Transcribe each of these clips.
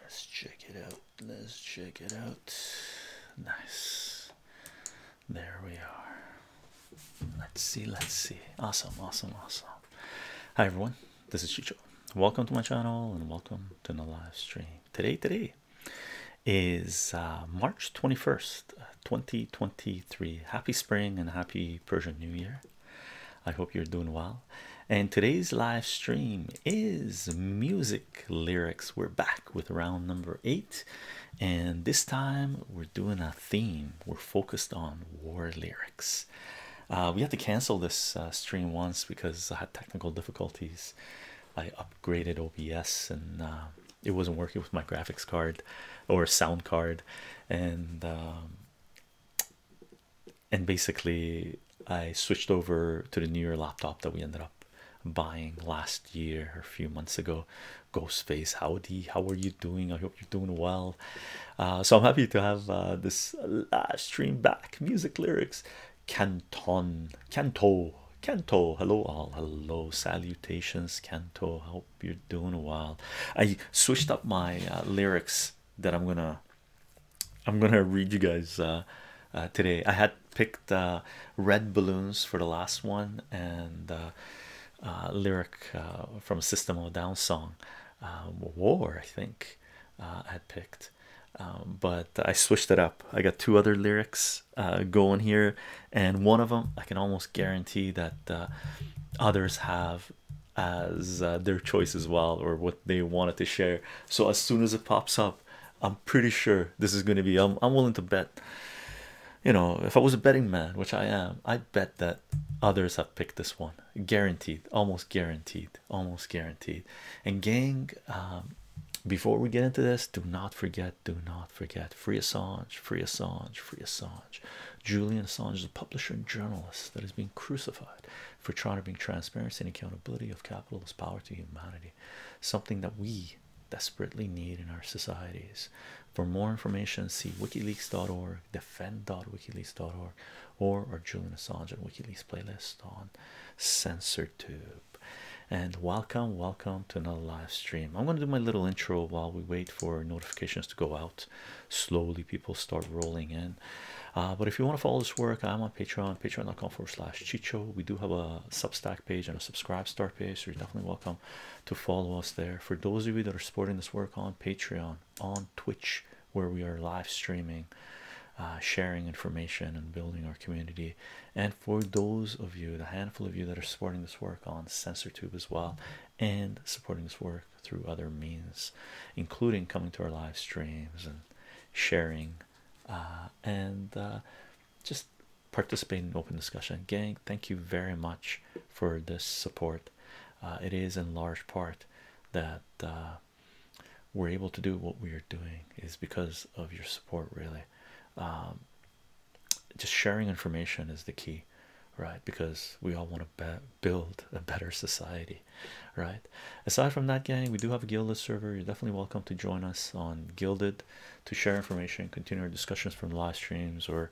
Let's check it out. Let's check it out. Nice. There we are. Let's see. Let's see. Awesome. Awesome. Awesome. Hi, everyone. This is Chicho. Welcome to my channel and welcome to the live stream. Today, today is uh, March 21st, uh, 2023. Happy spring and happy Persian New Year. I hope you're doing well and today's live stream is music lyrics. We're back with round number eight, and this time we're doing a theme. We're focused on war lyrics. Uh, we had to cancel this uh, stream once because I had technical difficulties. I upgraded OBS and uh, it wasn't working with my graphics card or sound card, and um, and basically I switched over to the newer laptop that we ended up buying last year or a few months ago. Ghostface, howdy, how are you doing? I hope you're doing well. Uh, so I'm happy to have uh, this live stream back. Music lyrics, Canton, Canto, Canto. Hello all, hello, salutations, Canto. Hope you're doing well. I switched up my uh, lyrics that I'm gonna I'm gonna read you guys uh, uh, today. I had picked uh, red balloons for the last one and lyric from System of a Down song, War. I think I had picked, um, but I switched it up. I got two other lyrics going here, and one of them I can almost guarantee that others have as their choice as well, or what they wanted to share so as soon as it pops up i'm pretty sure this is going to be I'm, I'm willing to bet you know if i was a betting man which i am i bet that others have picked this one guaranteed almost guaranteed almost guaranteed and gang um, before we get into this do not forget do not forget free assange free assange free assange julian assange is a publisher and journalist that is being crucified for trying to bring transparency and accountability of capitalist power to humanity, something that we desperately need in our societies. For more information, see wikileaks.org, defend.wikileaks.org, or our Julian Assange WikiLeaks playlist on CensorTube. And welcome, welcome to another live stream. I'm going to do my little intro while we wait for notifications to go out. Slowly, people start rolling in. Uh, but if you want to follow this work, I'm on Patreon, patreon.com forward slash Chicho. We do have a Substack page and a subscribe star page, so you're definitely welcome to follow us there. For those of you that are supporting this work on Patreon, on Twitch, where we are live streaming, uh, sharing information and building our community, and for those of you, the handful of you that are supporting this work on CensorTube as well, and supporting this work through other means, including coming to our live streams and sharing uh, and uh, just participate in open discussion. Gang, thank you very much for this support. Uh, it is in large part that we're able to do what we are doing is because of your support, really. Um, just sharing information is the key, right? Because we all want to build a better society right aside from that gang we do have a gilded server you're definitely welcome to join us on gilded to share information continue our discussions from live streams or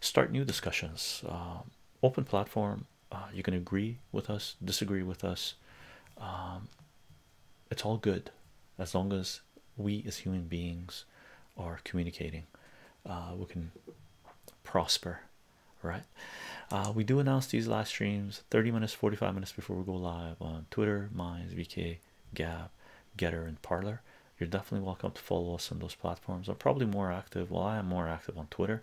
start new discussions uh, open platform uh, you can agree with us disagree with us um, it's all good as long as we as human beings are communicating uh, we can prosper right we do announce these live streams 30 minutes 45 minutes before we go live on Twitter, Minds, VK, Gab, Getter, and Parlor. You're definitely welcome to follow us on those platforms. I'm probably more active. Well, I am more active on Twitter,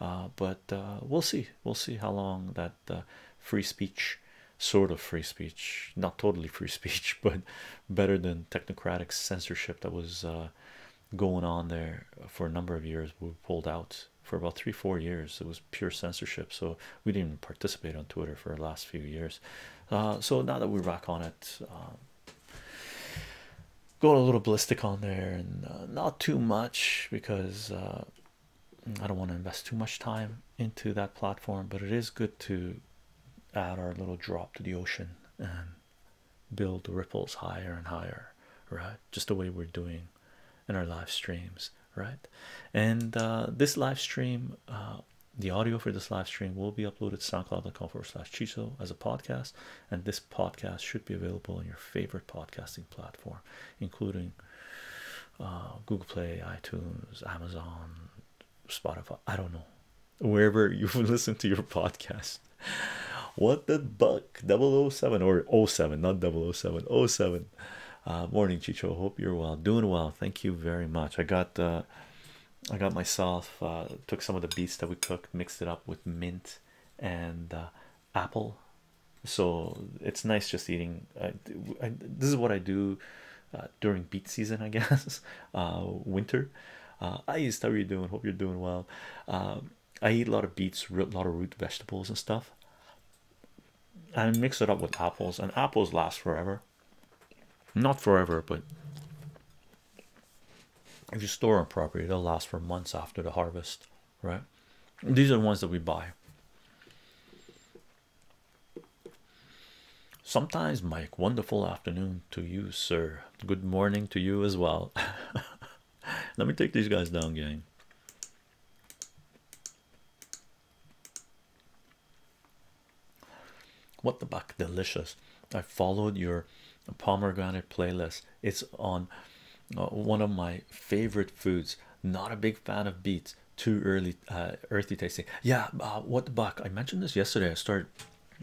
uh, but uh, we'll see. We'll see how long that uh, free speech, sort of free speech, not totally free speech, but better than technocratic censorship that was going on there for a number of years. We pulled out for about three four years it was pure censorship so we didn't participate on twitter for the last few years uh, so now that we're back on it um, a little ballistic on there and uh, not too much because uh, i don't want to invest too much time into that platform but it is good to add our little drop to the ocean and build ripples higher and higher right just the way we're doing and our live streams, right? And uh, this live stream, uh, the audio for this live stream will be uploaded soundcloud.com forward slash chiso as a podcast. And this podcast should be available on your favorite podcasting platform, including uh, Google Play, iTunes, Amazon, Spotify. I don't know, wherever you listen to your podcast. What the buck 007 or 07, not 007, 07. Uh, morning, Chicho. Hope you're well. Doing well. Thank you very much. I got the, uh, I got myself uh, took some of the beets that we cooked, mixed it up with mint and apple. So it's nice just eating. this is what I do during beet season, I guess. winter. I used how are you doing? Hope you're doing well. I eat a lot of beets, a lot of root vegetables and stuff and mix it up with apples, and apples last forever. Not forever, but if you store them properly, they'll last for months after the harvest, right? These are the ones that we buy. Sometimes, Mike, wonderful afternoon to you, sir. Good morning to you as well. Let me take these guys down, gang. What the buck? Delicious. I followed your pomegranate playlist. It's on uh, one of my favorite foods. Not a big fan of beets. Too early, uh, earthy tasting. Yeah. Uh, what the buck? I mentioned this yesterday. I started.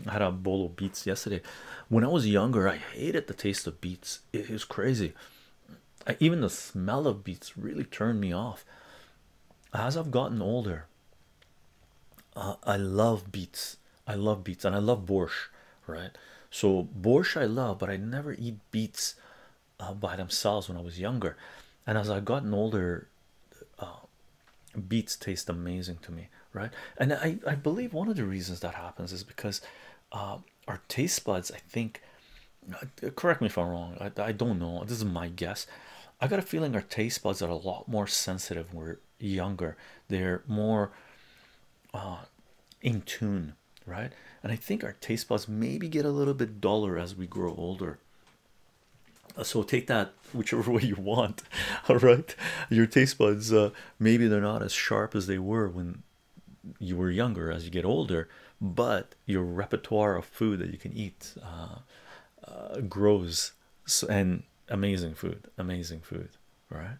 I had a bowl of beets yesterday. When I was younger, I hated the taste of beets. It is crazy even the smell of beets really turned me off as I've gotten older. Uh, I love beets, I love beets, and I love borscht, right? So, borscht I love, but I never eat beets uh, by themselves when I was younger. And as I've gotten older, uh, beets taste amazing to me, right? And I, I believe one of the reasons that happens is because our taste buds i think uh, correct me if i'm wrong I, don't know this is my guess i got a feeling our taste buds are a lot more sensitive when we're younger they're more uh, in tune right and i think our taste buds maybe get a little bit duller as we grow older uh, so take that whichever way you want all right your taste buds uh, maybe they're not as sharp as they were when you were younger as you get older but your repertoire of food that you can eat uh, uh, grows so, and amazing food amazing food right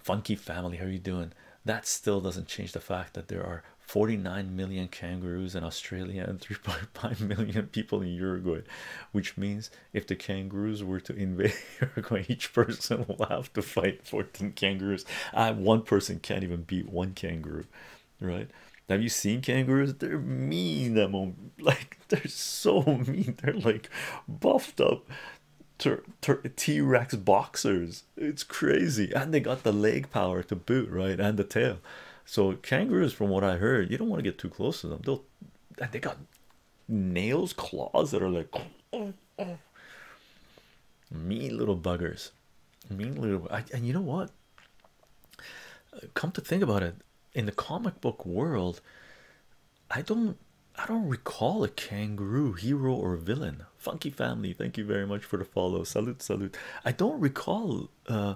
funky family how are you doing that still doesn't change the fact that there are 49 million kangaroos in Australia and 3.5 million people in Uruguay which means if the kangaroos were to invade Uruguay each person will have to fight 14 kangaroos uh, one person can't even beat one kangaroo right have you seen kangaroos they're mean They're like they're so mean they're like buffed up t-rex boxers it's crazy and they got the leg power to boot right and the tail so kangaroos from what i heard you don't want to get too close to them they got nails claws that are like Oh. mean little buggers mean little and you know what come to think about it in the comic book world i don't i don't recall a kangaroo hero or villain funky family thank you very much for the follow salute salute i don't recall uh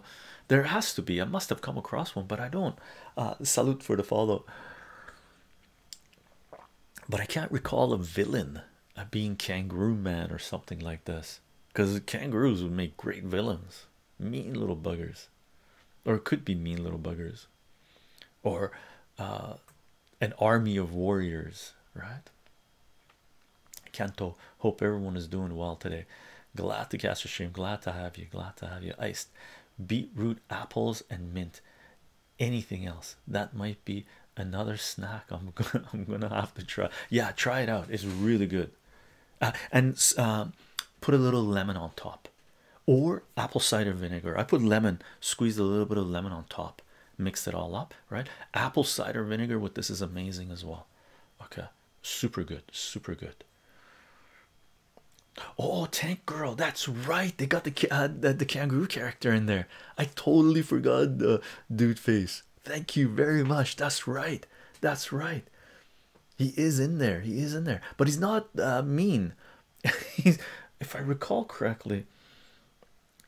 there has to be i must have come across one but i don't uh salute for the follow but i can't recall a villain a uh, being kangaroo man or something like this because kangaroos would make great villains mean little buggers or it could be mean little buggers or uh, an army of warriors right Kanto hope everyone is doing well today glad to cast your stream glad to have you glad to have you iced beetroot apples and mint anything else that might be another snack i'm gonna i'm gonna have to try yeah try it out it's really good uh, and uh, put a little lemon on top or apple cider vinegar i put lemon Squeeze a little bit of lemon on top Mix it all up right apple cider vinegar with this is amazing as well okay super good super good oh tank girl that's right they got the, uh, the kangaroo character in there I totally forgot the dude face. Thank you very much. That's right. That's right. He is in there. He is in there, but he's not uh, mean. if I recall correctly,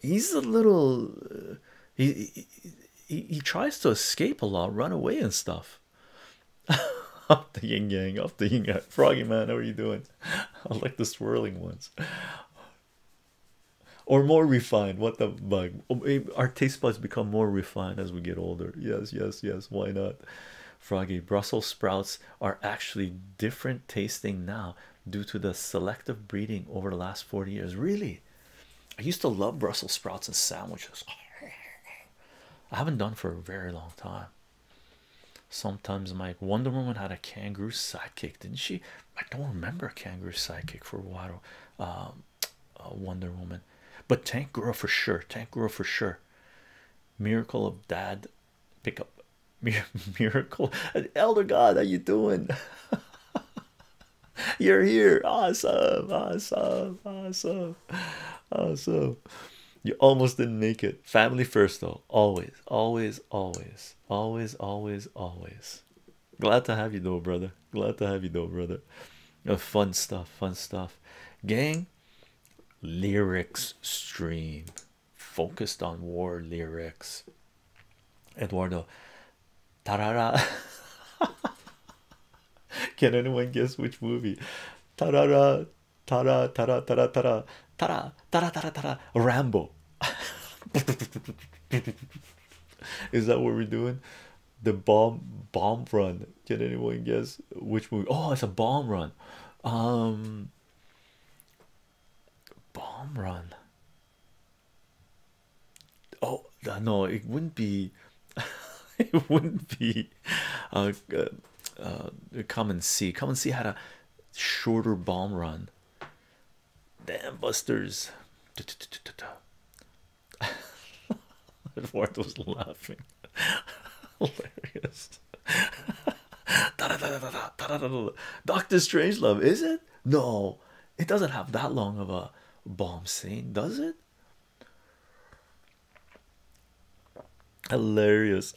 he's a little. Uh, he, he tries to escape a lot, run away and stuff. up the yin yang, up the yin yang. Froggy man, how are you doing? I like the swirling ones or more refined. What the bug? Oh, eh, our taste buds become more refined as we get older. Yes, yes, yes. Why not? Froggy Brussels sprouts are actually different tasting now due to the selective breeding over the last 40 years. Really, I used to love Brussels sprouts and sandwiches. I haven't done for a very long time. Sometimes, my Wonder Woman had a kangaroo sidekick, didn't she? I don't remember Kangaroo psychic for Waddle, um, uh, Wonder Woman, but Tank Girl for sure. Tank Girl for sure. Miracle of Dad, pick up Miracle. Elder God, how you doing? You're here. Awesome, awesome, awesome, awesome. You almost didn't make it. Family first, though. Always, always, always, always, always, always. Glad to have you, though, brother. Glad to have you, though, brother. Uh, fun stuff, fun stuff. Gang lyrics stream focused on war lyrics. Eduardo Tarara. Can anyone guess which movie? Tarara, tarara, tarara, tarara, tarara, tarara, tara, Rambo. Is that what we're doing? The bomb bomb run. Can anyone guess which movie? Oh, it's a bomb run. Um bomb run. Oh no, it wouldn't be it wouldn't be uh, uh, uh, come and see. Come and see how to shorter bomb run. Damn busters. Edward was laughing. Hilarious. Doctor Strange Love, is it? No, it doesn't have that long of a bomb scene, does it? Hilarious.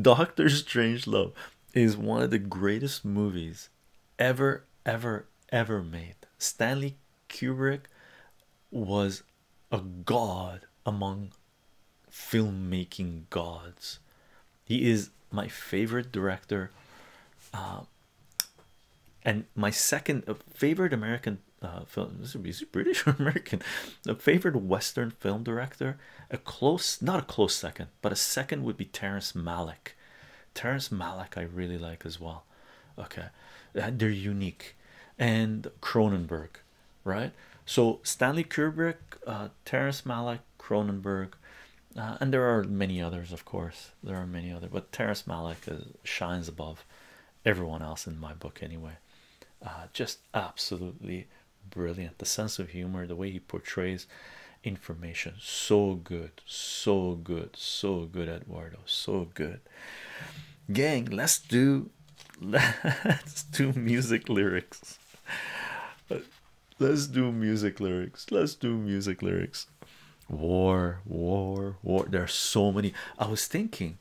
Doctor Strange Love is one of the greatest movies ever, ever, ever made. Stanley Kubrick was a god among filmmaking gods. He is my favorite director, um, and my second uh, favorite American uh, film. This would be British or American. the favorite Western film director a close not a close second but a second would be Terrence Malick Terrence Malick I really like as well okay uh, they're unique and Cronenberg right so Stanley Kubrick uh, Terrence Malick Cronenberg uh, and there are many others of course there are many other but Terrence Malick uh, shines above everyone else in my book anyway just absolutely brilliant the sense of humor the way he portrays information so good so good so good eduardo so good gang let's do let's do music lyrics let's do music lyrics let's do music lyrics war war war there are so many i was thinking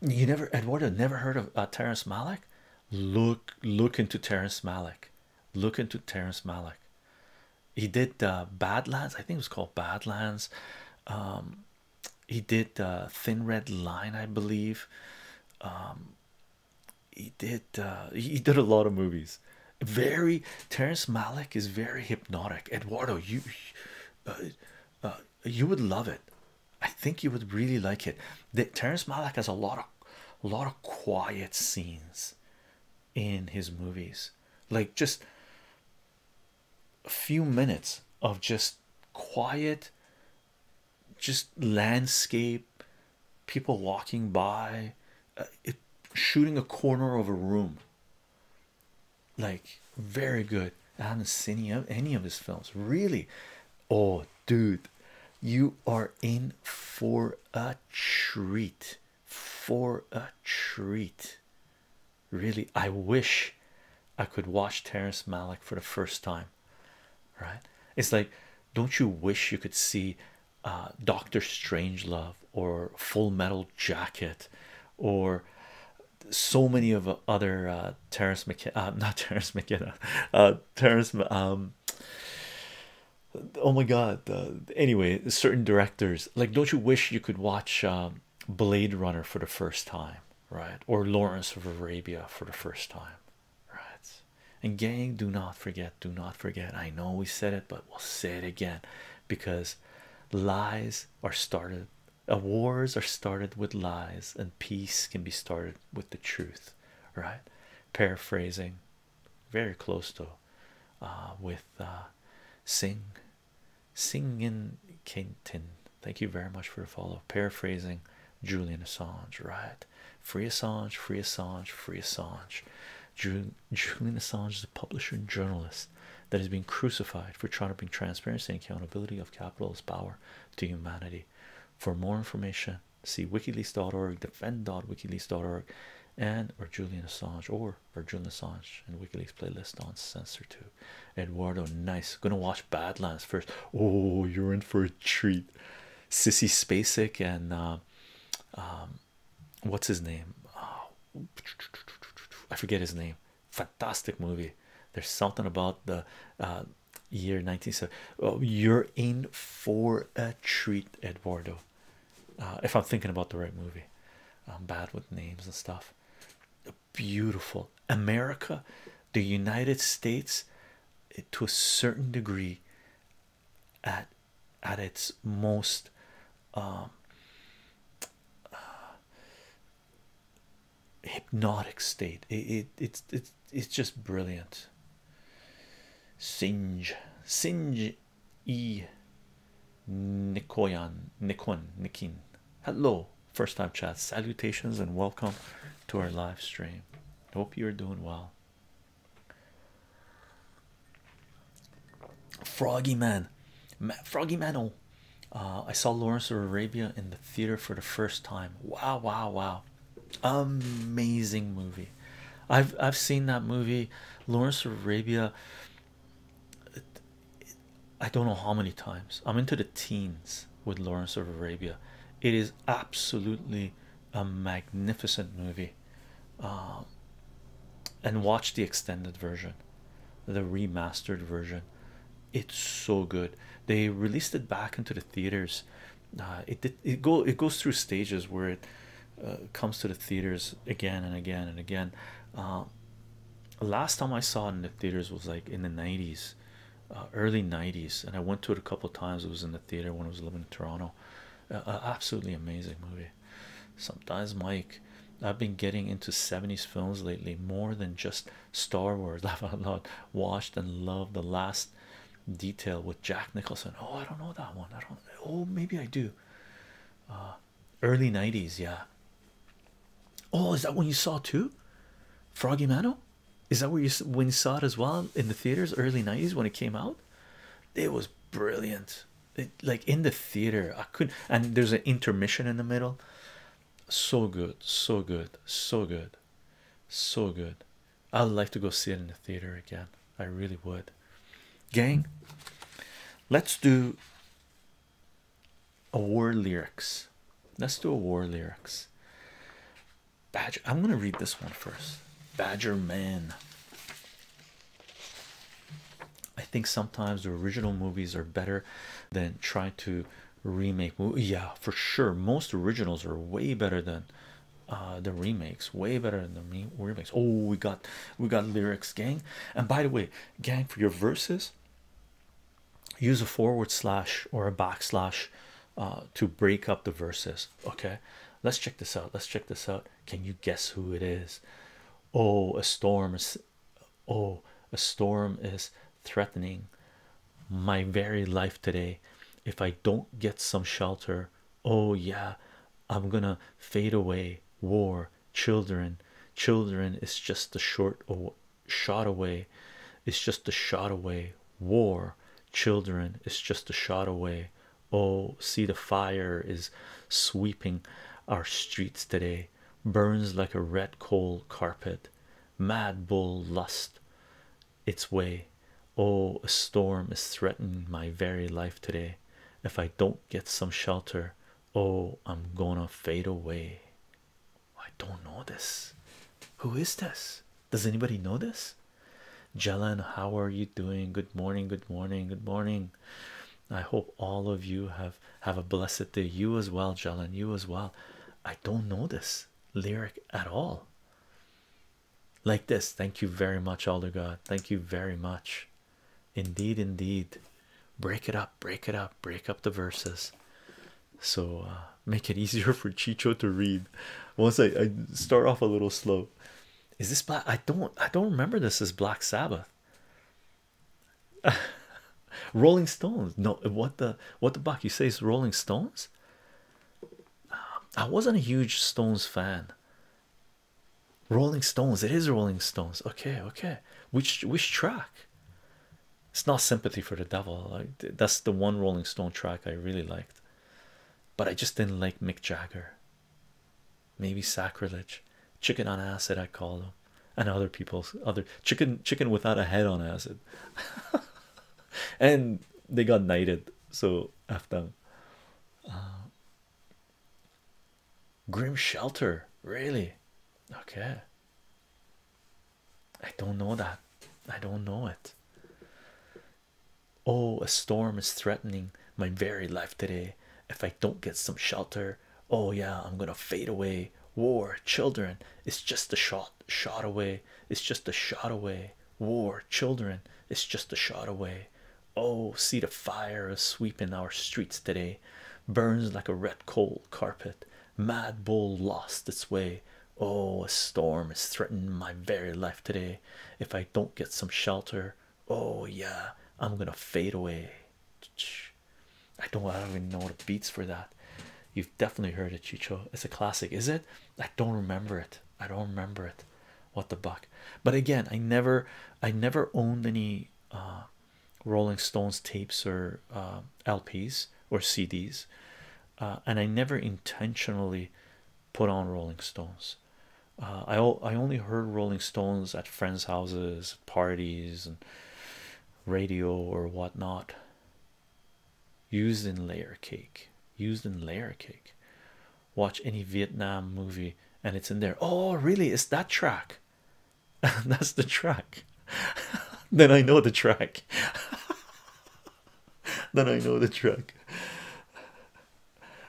you never eduardo never heard of uh, terrence malick look look into Terrence Malick look into Terrence Malick he did uh, Badlands I think it was called Badlands um, he did uh, Thin Red Line I believe um, he did uh, he did a lot of movies very Terrence Malick is very hypnotic Eduardo you uh, uh, you would love it I think you would really like it. The Terrence Malick has a lot of lot of quiet scenes in his movies, like just a few minutes of just quiet, just landscape, people walking by, uh, shooting a corner of a room. Like very good. I haven't seen any of, any of his films. Really, or dude you are in for a treat for a treat really i wish i could watch terrence malick for the first time right it's like don't you wish you could see uh doctor strangelove or full metal jacket or so many of other uh, Terrence McKenna, uh, not Terrence McKenna, uh, Terrence, um, oh my god, anyway, certain directors like, don't you wish you could watch um, Blade Runner for the first time, right? Or Lawrence of Arabia for the first time, right? And, gang, do not forget, do not forget. I know we said it, but we'll say it again because lies are started. Uh, wars are started with lies, and peace can be started with the truth. right? Paraphrasing, very close to uh, with uh, Sing Singin Kentin. Thank you very much for the follow. Paraphrasing Julian Assange, right? Free Assange, free Assange, free Assange. Julian Assange is a publisher and journalist that has been crucified for trying to bring transparency and accountability of capitalist power to humanity. For more information, see wikileaks.org, defend.wikileaks.org, and or Julian Assange or or Julian Assange and WikiLeaks playlist on censor Two. Eduardo, nice. Gonna watch Badlands first. Oh, you're in for a treat. Sissy Spacek and uh, um, what's his name? Uh, I forget his name. Fantastic movie. There's something about the uh, year 19 you're in for a treat eduardo uh, if i'm thinking about the right movie i'm bad with names and stuff beautiful america the united states eh, to a certain degree at at its most um, uh, hypnotic state it it's it's it's just brilliant. Sinj, Sinj, E. Nikoyan, Nikon, Nikin. Hello, first time chat. Salutations and welcome to our live stream. Hope you're doing well. Froggy Man, Froggy Mano. Uh, I saw Lawrence of Arabia in the theater for the first time. Wow, wow, wow amazing movie i've i've seen that movie lawrence of arabia i don't know how many times i'm into the teens with lawrence of arabia it is absolutely a magnificent movie um, and watch the extended version the remastered version it's so good they released it back into the theaters uh, it, it go it goes through stages where it uh, comes to the theaters again and again and again um, last time i saw it in the theaters was like in the 90s uh, early 90s and i went to it a couple times it was in the theater when i was living in toronto absolutely amazing movie sometimes mike i've been getting into 70s films lately more than just star wars i've watched and loved the last detail with Jack Nicholson. Oh, I don't know that one. I don't. Oh, maybe I do. Uh, early '90s, yeah. Oh, is that one you saw too? Froggy Mano? Is that where you when you saw it as well in the theaters? Early '90s when it came out, it was brilliant. like in the theater, I couldn't. And there's an intermission in the middle. So good, so good, so good, so good. I would like to go see it in the theater again. I really would. Gang, let's do a war lyrics. Let's do a war lyrics. Badger, I'm gonna read this one first. Badger Man. I think sometimes the original movies are better than trying to remake. Yeah, for sure. Most originals are way better than uh, the remakes way better than the remakes oh we got we got lyrics gang and by the way gang for your verses use a forward slash or a backslash uh, to break up the verses okay let's check this out let's check this out can you guess who it is oh a storm is oh a storm is threatening my very life today if I don't get some shelter. Oh, yeah, I'm gonna fade away. War, children, children it's just a short oh, shot away. It's just a shot away. War, children it's just a shot away. Oh, see, the fire is sweeping our streets today, burns like a red coal carpet. Mad bull lust its way. Oh, a storm is threatening my very life today. If I don't get some shelter, oh, I'm gonna fade away. I don't know this. Who is this? Does anybody know this? Jelen, how are you doing? Good morning, good morning, good morning. I hope all of you have have a blessed day. You as well, Jelen, you as well. I don't know this lyric at all like this thank you very much elder god thank you very much indeed indeed break it up break it up break up the verses so uh, make it easier for chicho to read once I, start off a little slow is this black i don't i don't remember this as black sabbath rolling stones no what the what the buck you say is rolling stones I wasn't a huge Stones fan. Rolling Stones, it is Rolling Stones. Okay, okay. Which which track? It's not Sympathy for the Devil. Like that's the one Rolling Stone track I really liked. But I just didn't like Mick Jagger. Maybe sacrilege. Chicken on acid, I call them. And other people's other chicken chicken without a head on acid. and they got knighted so after, uh, Grim Shelter, really? Okay. I don't know that. I don't know it. Oh, a storm is threatening my very life today. If I don't get some shelter, oh yeah, I'm gonna fade away. War, children, it's just a shot, shot away. It's just a shot away war, children, it's just a shot away. Oh, see the fire a sweeping our streets today, burns like a red coal carpet. Mad bull lost its way. Oh, a storm is threatening my very life today. If I don't get some shelter, oh yeah, I'm gonna fade away. I don't, I don't even know the beats for that. You've definitely heard it, Chicho. It's a classic, is it? I don't remember it. I don't remember it. What the buck? But again, I never, I never owned any uh, Rolling Stones tapes or uh, LPs or CDs, uh, and I never intentionally put on Rolling Stones. Uh, I I only heard Rolling Stones at friends' houses, parties, and radio or whatnot used in layer cake used in layer cake watch any Vietnam movie and it's in there oh really it's that track that's the track then I know the track then I know the track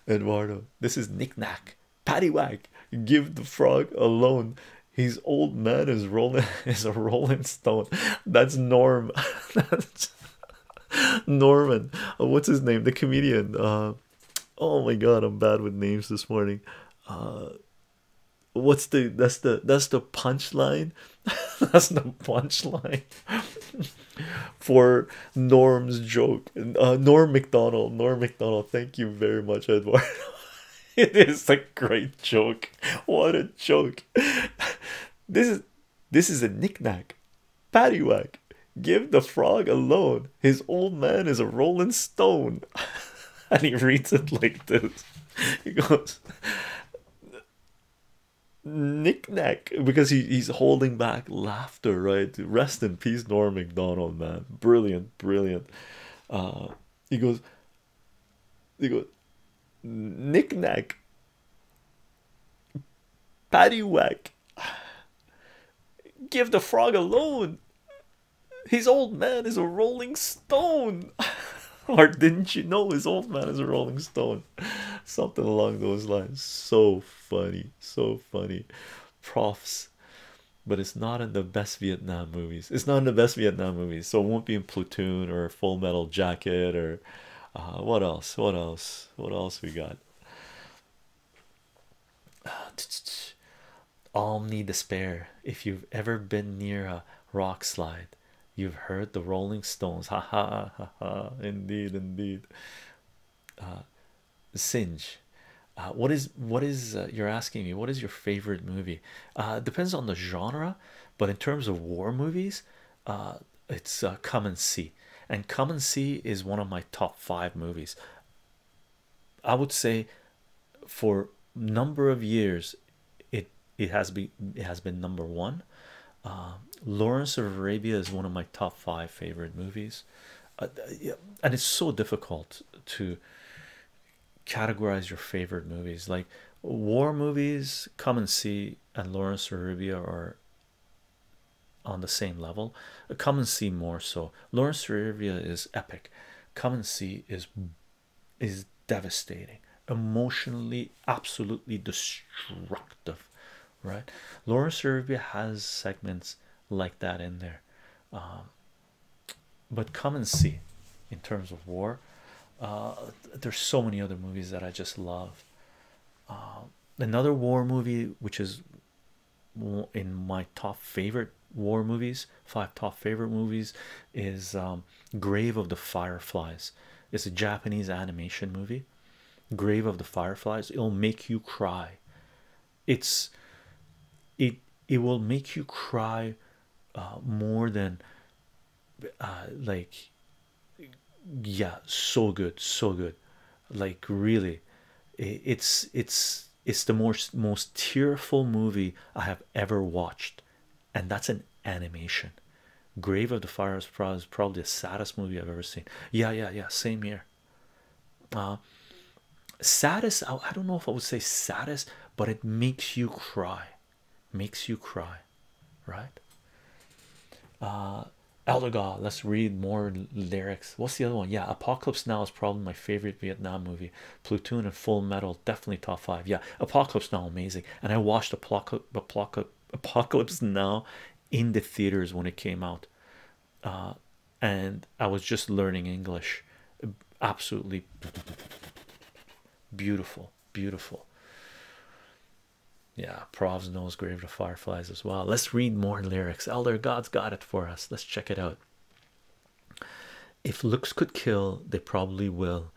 Eduardo this is knick-knack paddywhack give the frog a loan. his old man is rolling is a rolling stone that's norm Norman, uh, what's his name? The comedian. Uh, oh my god, I'm bad with names this morning. Uh, what's the that's the that's the punchline? that's the punchline for Norm's joke. Norm McDonald, Norm McDonald. Thank you very much, Edward. it is a great joke. What a joke! This is this is a knick-knack. Paddywhack. Give the frog alone. His old man is a rolling stone. and he reads it like this. He goes knick-knack because he's holding back laughter, right? Rest in peace, Norm McDonald, man. Brilliant, brilliant. Uh, he goes he goes knick-knack Paddywhack. Give the frog alone. His old man is a rolling stone. or didn't you know his old man is a rolling stone? Something along those lines. So funny. So funny. Profs. But it's not in the best Vietnam movies. It's not in the best Vietnam movies. So it won't be in Platoon or Full Metal Jacket or uh, what else? What else? What else we got? Omni despair. If you've ever been near a rock slide, you've heard the Rolling Stones. Ha ha ha ha. Indeed, indeed. Uh, Singe. Uh, what is what is uh, you're asking me? What is your favorite movie? depends on the genre, but in terms of war movies, uh, it's uh, Come and See, and Come and See is one of my top five movies. I would say for number of years it it has been it has been number one. Uh, Lawrence of Arabia is one of my top five favorite movies, uh, and it's so difficult to categorize your favorite movies like war movies. Come and see, and Lawrence of Arabia are on the same level. Come and see more so. Lawrence Riviera is epic. Come and see is is devastating, emotionally, absolutely destructive, right? Lawrence Riviera has segments like that in there, um, but come and see. In terms of war, uh, there's so many other movies that I just love. Um, another war movie which is in my top favorite war movies five top favorite movies is um, grave of the fireflies it's a japanese animation movie grave of the fireflies it'll make you cry it's it it will make you cry uh, more than uh, like yeah so good so good like really it's it's it's the most most tearful movie i have ever watched and that's an animation grave of the fire is probably the saddest movie i've ever seen yeah yeah yeah same here uh saddest i don't know if i would say saddest but it makes you cry makes you cry right? Uh, Elder God, let's read more lyrics. What's the other one? Yeah, Apocalypse Now is probably my favorite Vietnam movie. Platoon and Full Metal, definitely top five. Yeah, Apocalypse Now, amazing. And I watched Apocalypse Apocalypse Now in the theaters when it came out, uh, and I was just learning English. Absolutely beautiful, beautiful yeah provs knows grave to fireflies as well let's read more lyrics elder god's got it for us let's check it out if looks could kill they probably will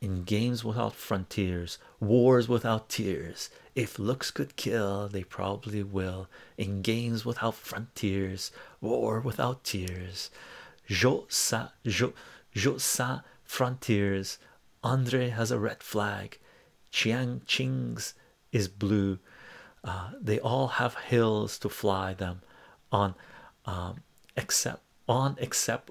in games without frontiers wars without tears if looks could kill they probably will in games without frontiers war without tears jo sa jo jo frontiers andre has a red flag Chiang Ching's is blue. Uh, they all have hills to fly them on, um, except on except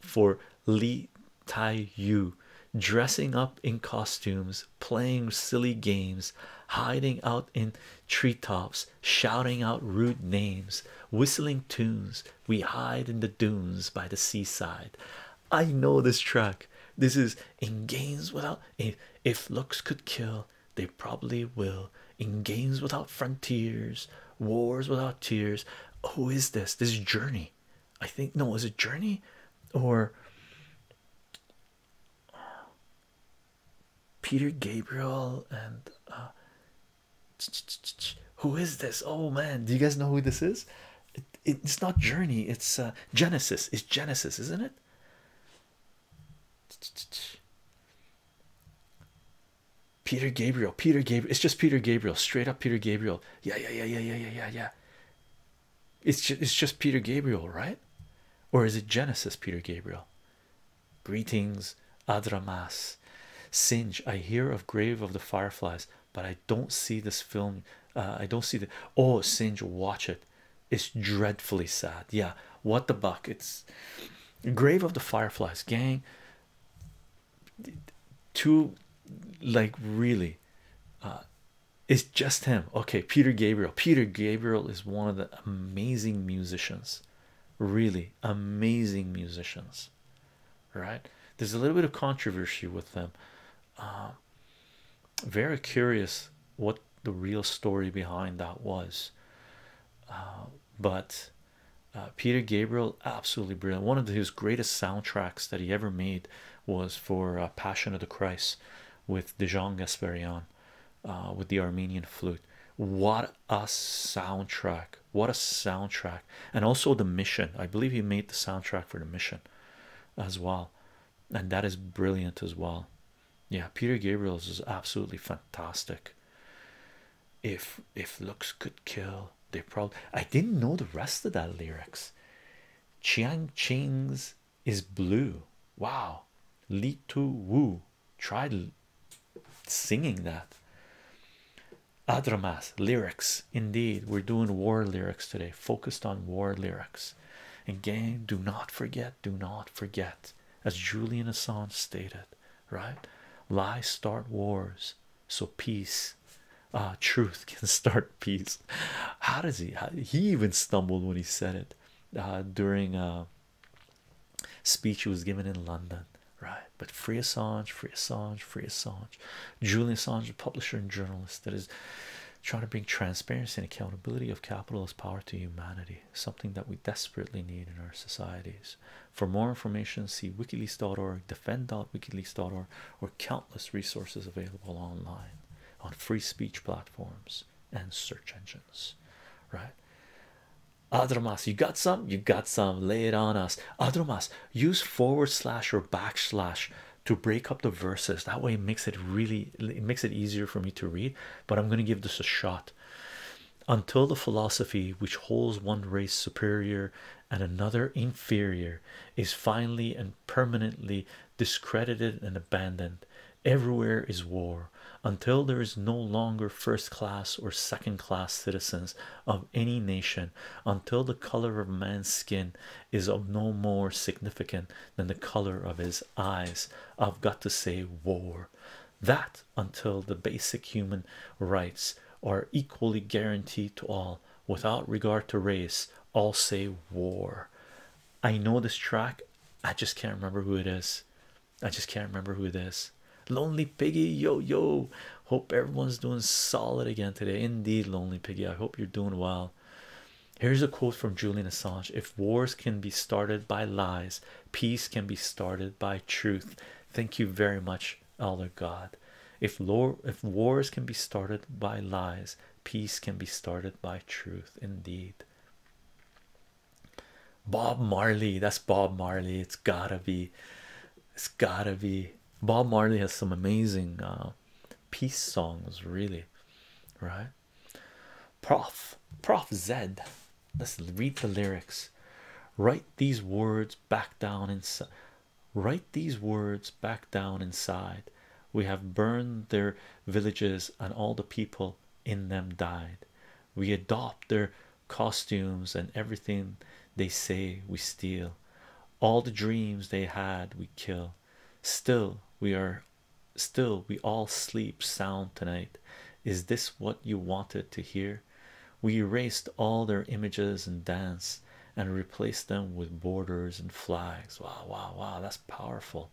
for Li Tai Yu, dressing up in costumes, playing silly games, hiding out in tree tops, shouting out rude names, whistling tunes. We hide in the dunes by the seaside. I know this track. This is in games without if, looks could kill, they probably will. In games without frontiers, wars without tears. Who is this? This is Journey. I think no, is it Journey or Peter Gabriel and who is this? Oh man, do you guys know who this is? it, it's not journey it's uh, genesis it's genesis isn't it peter gabriel peter gabriel it's just peter gabriel straight up peter gabriel yeah yeah yeah yeah yeah yeah yeah yeah it's just it's just peter gabriel right or is it genesis peter gabriel greetings adramas singe i hear of grave of the fireflies but I don't see this film. Uh, I don't see the oh, Singe, watch it. It's dreadfully sad. Yeah, what the buck? It's Grave of the Fireflies gang. Two, like really, uh, it's just him. Okay, Peter Gabriel. Peter Gabriel is one of the amazing musicians, really amazing musicians, right? There's a little bit of controversy with them. Uh, very curious what the real story behind that was uh, but uh, Peter Gabriel absolutely brilliant one of his greatest soundtracks that he ever made was for uh, Passion of the Christ with Dijon Gasparian with the Armenian flute what a soundtrack what a soundtrack and also the mission I believe he made the soundtrack for the mission as well and that is brilliant as well yeah peter gabriel's is absolutely fantastic if if looks could kill they probably i didn't know the rest of that lyrics chiang ching's is blue wow li tu wu tried singing that adramas lyrics indeed we're doing war lyrics today focused on war lyrics and gang do not forget do not forget as julian assange stated right lies start wars so peace uh truth can start peace how does he he even stumbled when he said it uh, during a uh, speech he was given in london right but free assange free assange free assange Julian Assange, publisher and journalist that is trying to bring transparency and accountability of capitalist power to humanity, something that we desperately need in our societies. For more information, see wikileaks.org, defend.wikileaks.org, or countless resources available online on free speech platforms and search engines. Right? Adromas, you got some? You got some. Lay it on us. Adromas, use forward slash or backslash to break up the verses that way makes it really it makes it easier for me to read but i'm going to give this a shot until the philosophy which holds one race superior and another inferior is finally and permanently discredited and abandoned everywhere is war until there is no longer first class or second class citizens of any nation until the color of man's skin is of no more significance than the color of his eyes. I've got to say, war. That until the basic human rights are equally guaranteed to all without regard to race, all say war. I know this track, I just can't remember who it is. I just can't remember who it is. Lonely Piggy, yo, yo. Hope everyone's doing solid again today. Indeed, Lonely Piggy, I hope you're doing well. Here's a quote from Julian Assange If wars can be started by lies, peace can be started by truth. Thank you very much, Elder God. If, wars can be started by lies, peace can be started by truth, indeed. Bob Marley, that's Bob Marley. It's gotta be, it's gotta be. Bob Marley has some amazing um, peace songs really right prof prof zed let's read the lyrics write these words back down inside write these words back down inside we have burned their villages and all the people in them died we adopt their costumes and everything they say we steal all the dreams they had we kill still we are still we all sleep sound tonight is this what you wanted to hear we erased all their images and dance and replaced them with borders and flags wow wow wow that's powerful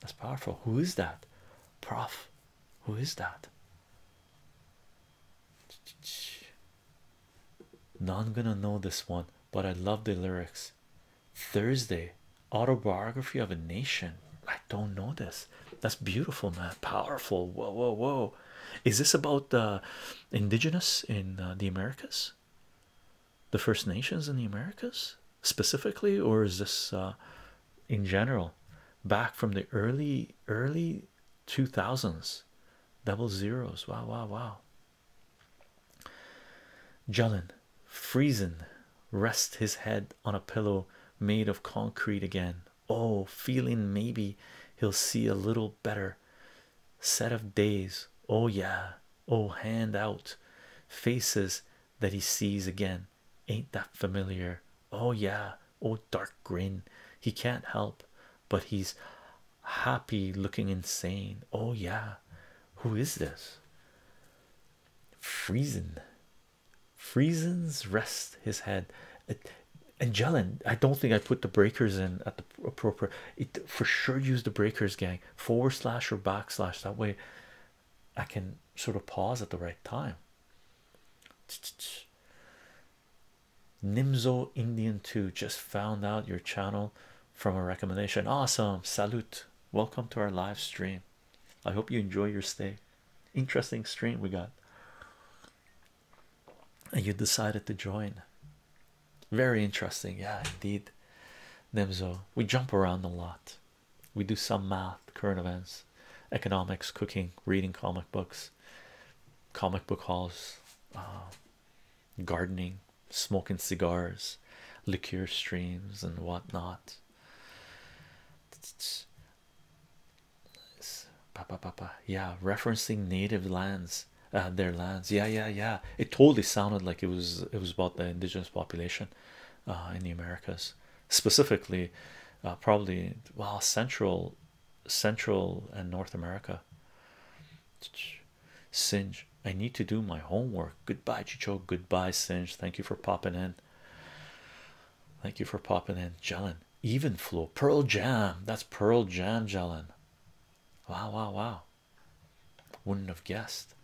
that's powerful who is that prof who is that now i'm gonna know this one but i love the lyrics Thursday Autobiography of a Nation. I don't know this. That's beautiful, man. Powerful. Whoa, whoa, whoa. Is this about the indigenous in uh, the Americas? The First Nations in the Americas specifically, or is this uh, in general back from the early, early 2000s? Double zeros. Wow, wow, wow. Jellin, freezing, rests his head on a pillow made of concrete again. Oh, feeling maybe he'll see a little better set of days. Oh, yeah. Oh, hand out faces that he sees again. Ain't that familiar? Oh, yeah. Oh, dark grin. He can't help, but he's happy looking insane. Oh, yeah, who is this? Friesen. Friesen's rest his head. Angelin, I don't think I put the breakers in at the appropriate. It for sure use the breakers, gang. Forward slash or backslash. That way, I can sort of pause at the right time. Nimzo Indian 2 just found out your channel from a recommendation. Awesome, salute! Welcome to our live stream. I hope you enjoy your stay. Interesting stream we got, and you decided to join. Very interesting, yeah, indeed. Nemzo, we jump around a lot. We do some math, current events, economics, cooking, reading comic books, comic book hauls, uh, gardening, smoking cigars, liqueur streams, and whatnot. Papa, papa, yeah, referencing native lands, uh, their lands. Yeah, yeah, yeah. It totally sounded like it was it was about the indigenous population uh, in the Americas, specifically, uh, probably well central, central and North America. Singe, I need to do my homework. Goodbye, Chicho. Goodbye, Singe. Thank you for popping in. Thank you for popping in, Jalen. Even flow, Pearl Jam. That's Pearl Jam, Jalen. Wow, wow, wow. Wouldn't have guessed.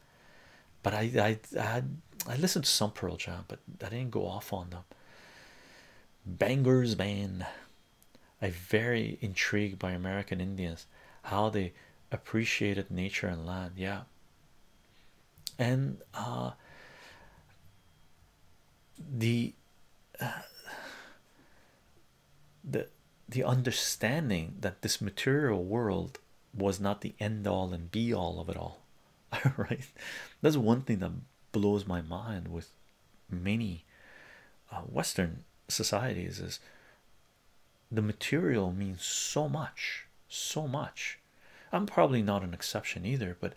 But I, I, I listened to some Pearl Jam, but I didn't go off on them. Bangers, man. I'm very intrigued by American Indians, how they appreciated nature and land yeah and uh, the uh, the the understanding that this material world was not the end all and be all of it all right that's one thing that blows my mind with many uh, western societies is the material means so much so much i'm probably not an exception either but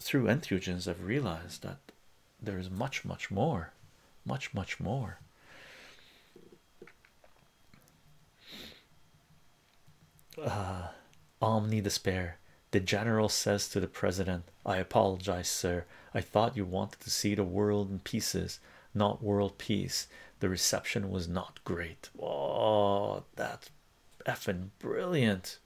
through entheogens i've realized that there is much much more much much more uh, omni despair the general says to the president i apologize sir i thought you wanted to see the world in pieces not world peace. The reception was not great. Oh, that's effin' brilliant.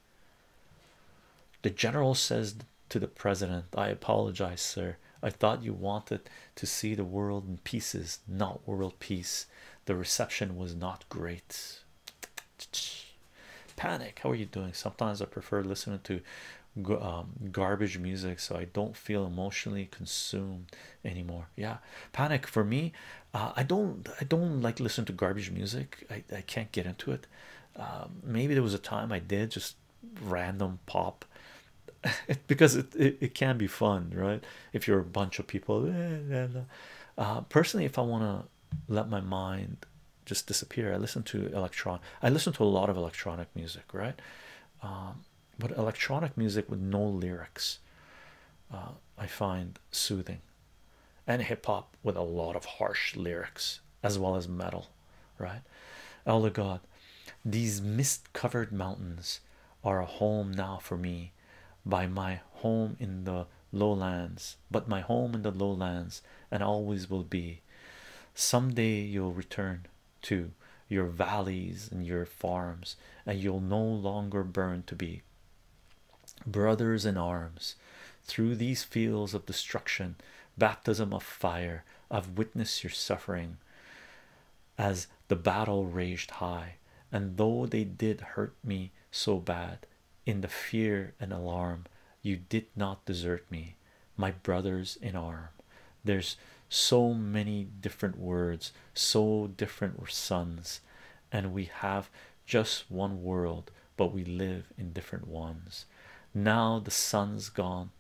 The general says to the president, I apologize, sir. I thought you wanted to see the world in pieces, not world peace. The reception was not great. Panic, how are you doing? Sometimes I prefer listening to um, garbage music so I don't feel emotionally consumed anymore yeah panic for me uh, i don't i don't like listen to garbage music i, I can't get into it um, maybe there was a time i did just random pop because it, it, can be fun right if you're a bunch of people eh, uh, personally if i want to let my mind just disappear i listen to electron i listen to a lot of electronic music right um, but electronic music with no lyrics uh, I find soothing, and hip hop with a lot of harsh lyrics as well as metal, right? Oh, Elder God, these mist covered mountains are a home now for me by my home in the lowlands, but my home in the lowlands and always will be. Some day you'll return to your valleys and your farms, and you'll no longer burn to be brothers in arms through these fields of destruction, baptism of fire. I've witnessed your suffering as the battle raged high, and though they did hurt me so bad in the fear and alarm, you did not desert me, my brothers in arm there's so many different words so different suns and we have just one world but we live in different ones now the sun's gone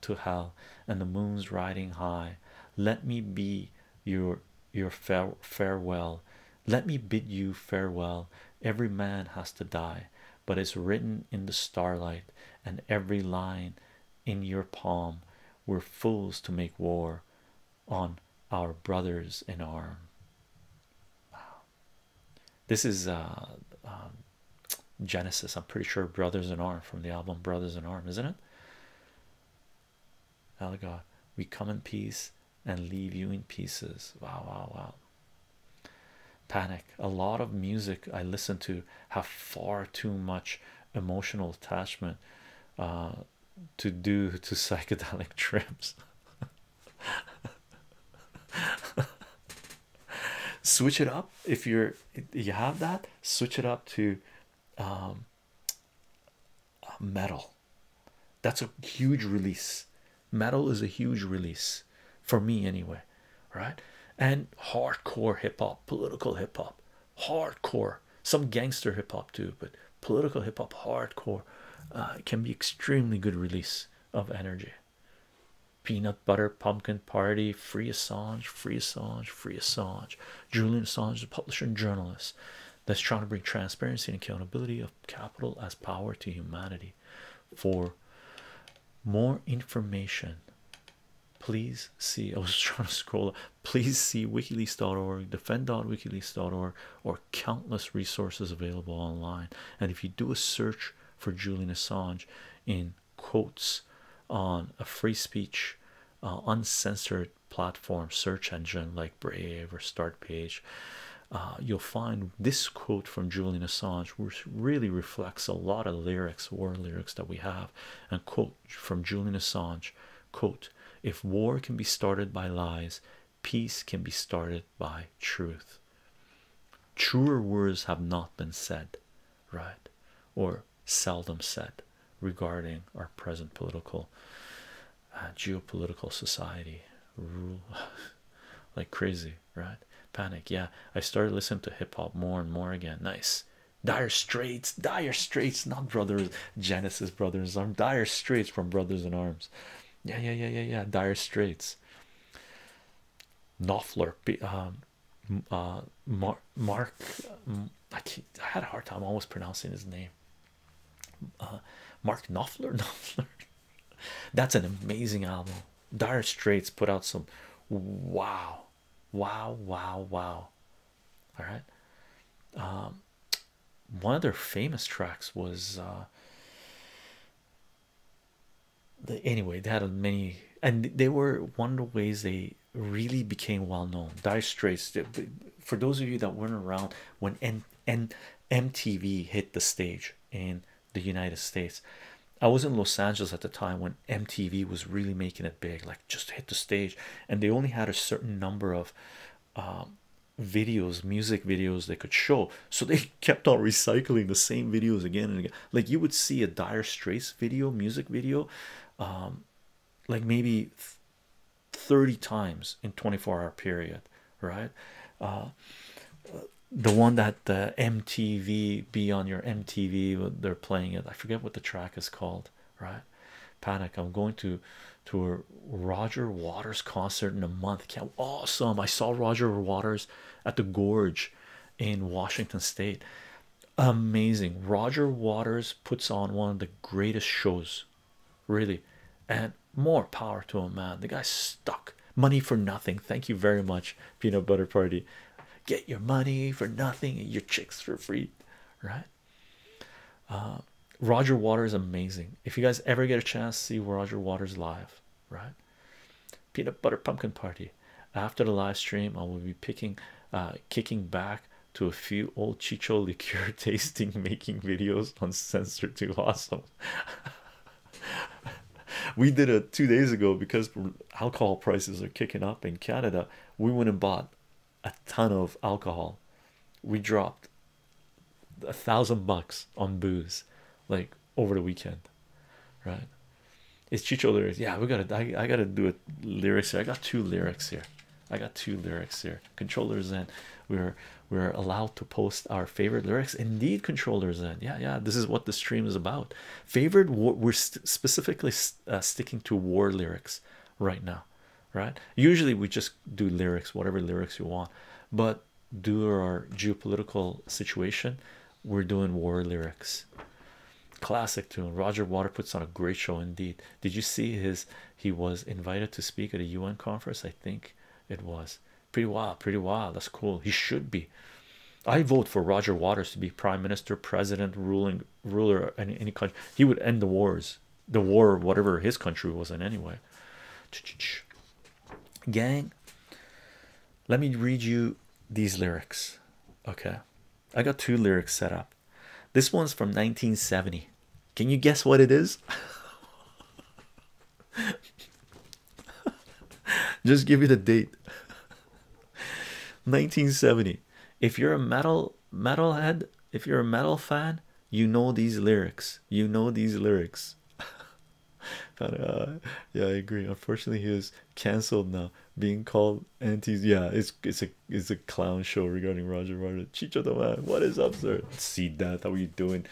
to hell and the moon's riding high let me be your your fare farewell let me bid you farewell every man has to die but it's written in the starlight and every line in your palm we're fools to make war on our brothers in arm. Wow. This is uh, um, Genesis. I'm pretty sure Brothers in Arm from the album Brothers in Arm, isn't it? Oh uh, God, we come in peace and leave you in pieces. Wow, wow, wow. Panic. A lot of music I listen to have far too much emotional attachment uh, to do to psychedelic trips. switch it up if you're you have that. Switch it up to um, uh, metal. That's a huge release. Metal is a huge release for me, anyway, right? And hardcore hip hop, political hip hop hardcore some gangster hip-hop too but political hip-hop hardcore uh, can be extremely good release of energy peanut butter pumpkin party free assange free assange free assange julian assange the publisher and journalist that's trying to bring transparency and accountability of capital as power to humanity for more information Please see. I was trying to scroll. Please see WikiLeaks.org, defend.wikileaks.org, or countless resources available online. And if you do a search for Julian Assange in quotes on a free speech, uh, uncensored platform search engine like Brave or Startpage, uh, you'll find this quote from Julian Assange, which really reflects a lot of lyrics, war lyrics that we have, and quote from Julian Assange quote if war can be started by lies peace can be started by truth truer words have not been said right or seldom said regarding our present political uh, geopolitical society rule like crazy right panic yeah I started listening to hip-hop more and more again nice Dire Straits, Dire Straits, not brothers, Genesis Brothers, I'm Dire Straits from Brothers in Arms. Yeah, yeah, yeah, yeah, yeah. Dire Straits. Knopfler, um, uh, Mark, I, had a hard time always pronouncing his name. Uh, Mark Knopfler, Knopfler. That's an amazing album. Dire Straits put out some wow, wow, wow, wow, all right um, one of their famous tracks was uh, the, anyway they had many and they were one of the ways they really became well known Dire Straits for those of you that weren't around when N N MTV hit the stage in the United States I was in Los Angeles at the time when MTV was really making it big like just hit the stage and they only had a certain number of um, videos music videos they could show so they kept on recycling the same videos again and again like you would see a dire straits video music video um, like maybe 30 times in 24 hour period right uh, the one that the mtv be on your mtv they're playing it i forget what the track is called right? Panic. I'm going to to Roger Waters concert in a month. can awesome. I saw Roger Waters at the Gorge in Washington State. Amazing. Roger Waters puts on one of the greatest shows, really. And more power to him, man. The guy's stuck. Money for nothing. Thank you very much, Peanut Butter Party. Get your money for nothing your chicks for free right? Uh, Roger Waters is amazing. If you guys ever get a chance, see Roger Waters live, right? Peanut butter pumpkin party. After the live stream, I will be picking, uh, kicking back to a few old chicho liqueur tasting making videos on censored too awesome. we did it two days ago because alcohol prices are kicking up in Canada. We went and bought a ton of alcohol. We dropped a thousand bucks on booze like over the weekend, right? It's Chicho lyrics. Yeah, we gotta. I, I gotta do it. Lyrics here. I got two lyrics here. I got two lyrics here. Controllers in. We're we're allowed to post our favorite lyrics. Indeed, controllers in. Yeah, yeah. This is what the stream is about. Favorite. War, we're specifically uh, sticking to war lyrics right now, right? Usually we just do lyrics, whatever lyrics you want, but due to our geopolitical situation, we're doing war lyrics. Classic tune. Roger Water puts on a great show indeed. Did you see his? He was invited to speak at a UN conference. I think it was pretty wild. Pretty wild. That's cool. He should be. I vote for Roger Waters to be prime minister, president, ruling ruler in any country he would end the wars the war whatever his country was in anyway gang let me read you these lyrics okay i got two lyrics set up this one's from 1970 can you guess what it is just give you the date 1970 if you're a metal metalhead if you're a metal fan you know these lyrics you know these lyrics but uh, yeah i agree unfortunately he is cancelled now being called antis yeah it's it's a it's a clown show regarding roger Martin. chicho man what is up sir see that how are you doing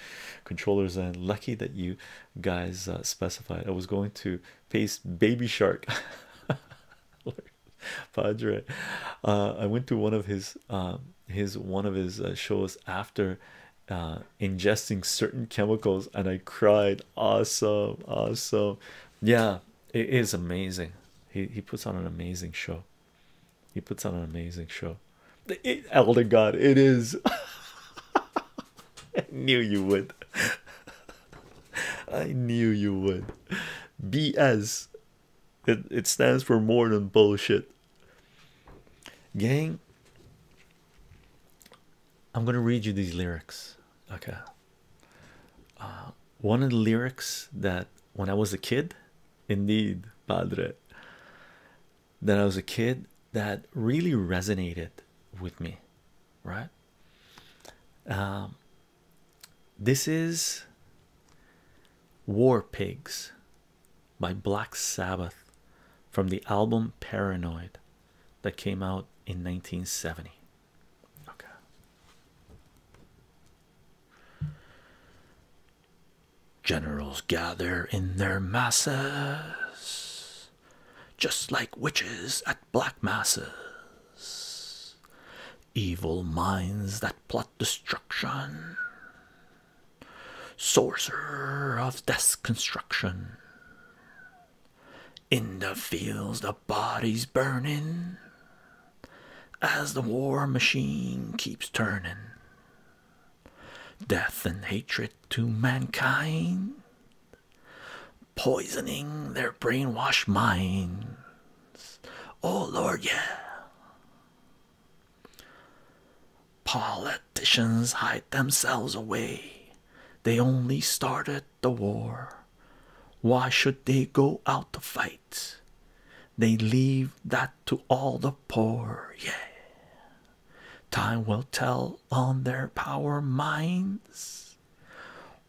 controllers and lucky that you guys uh, specified i was going to paste baby shark Padre. Uh, I went to one of his um, his one of his uh, shows after uh, ingesting certain chemicals, and I cried. Awesome, awesome. Yeah, it is amazing. He he puts on an amazing show. He puts on an amazing show. It, Elder God, it is. I knew you would. I knew you would. BS. It, it stands for more than bullshit. Gang, I'm going to read you these lyrics. Okay. Uh, one of the lyrics that when I was a kid, indeed, Padre, that I was a kid that really resonated with me, right? Um, this is War Pigs by Black Sabbath from the album Paranoid that came out in 1970. Generals gather in their masses, just like witches at black masses evil minds that plot destruction, sorcerer of destruction. In the fields, the bodies burning as the war machine keeps turning. Death and hatred to mankind, poisoning their brainwashed mind. Oh Lord, yeah. Politicians hide themselves away. They only started the war. Why should they go out to fight? They leave that to all the poor, yeah. Time will tell on their power minds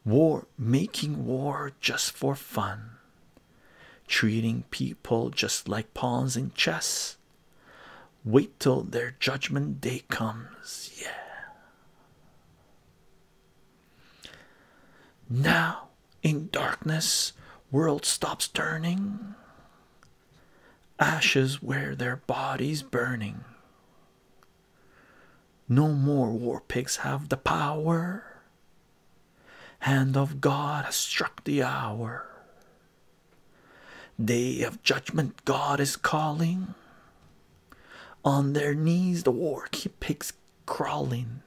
war making war just for fun treating people just like pawns in chess wait till their judgment day comes yeah now in darkness world stops turning ashes where their bodies burning no more war pigs have the power. Hand of God has struck the hour. Day of judgment, God is calling. On their knees, the war keep pigs crawling,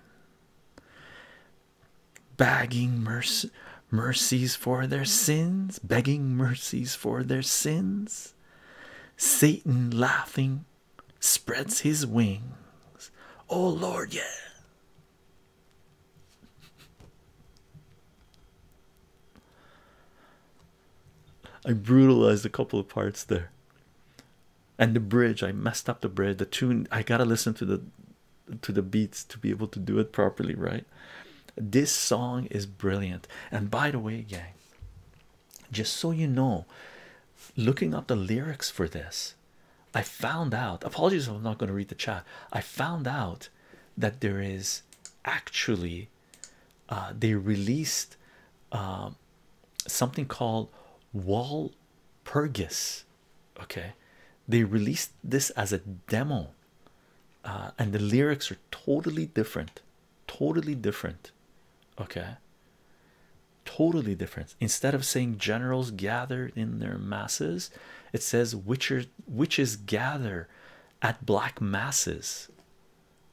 begging mercies for their sins, begging mercies for their sins. Satan laughing spreads his wings. Oh Lord, yeah. I brutalized a couple of parts there. And the bridge, I messed up the bridge. The tune, I gotta listen to the to the beats to be able to do it properly, right? This song is brilliant. And by the way, gang, just so you know looking up the lyrics for this i found out apologies if i'm not going to read the chat i found out that there is actually uh, they released um, something called Wall walpurgis okay they released this as a demo uh, and the lyrics are totally different totally different okay totally different instead of saying generals gathered in their masses it says witcher witches gather at black masses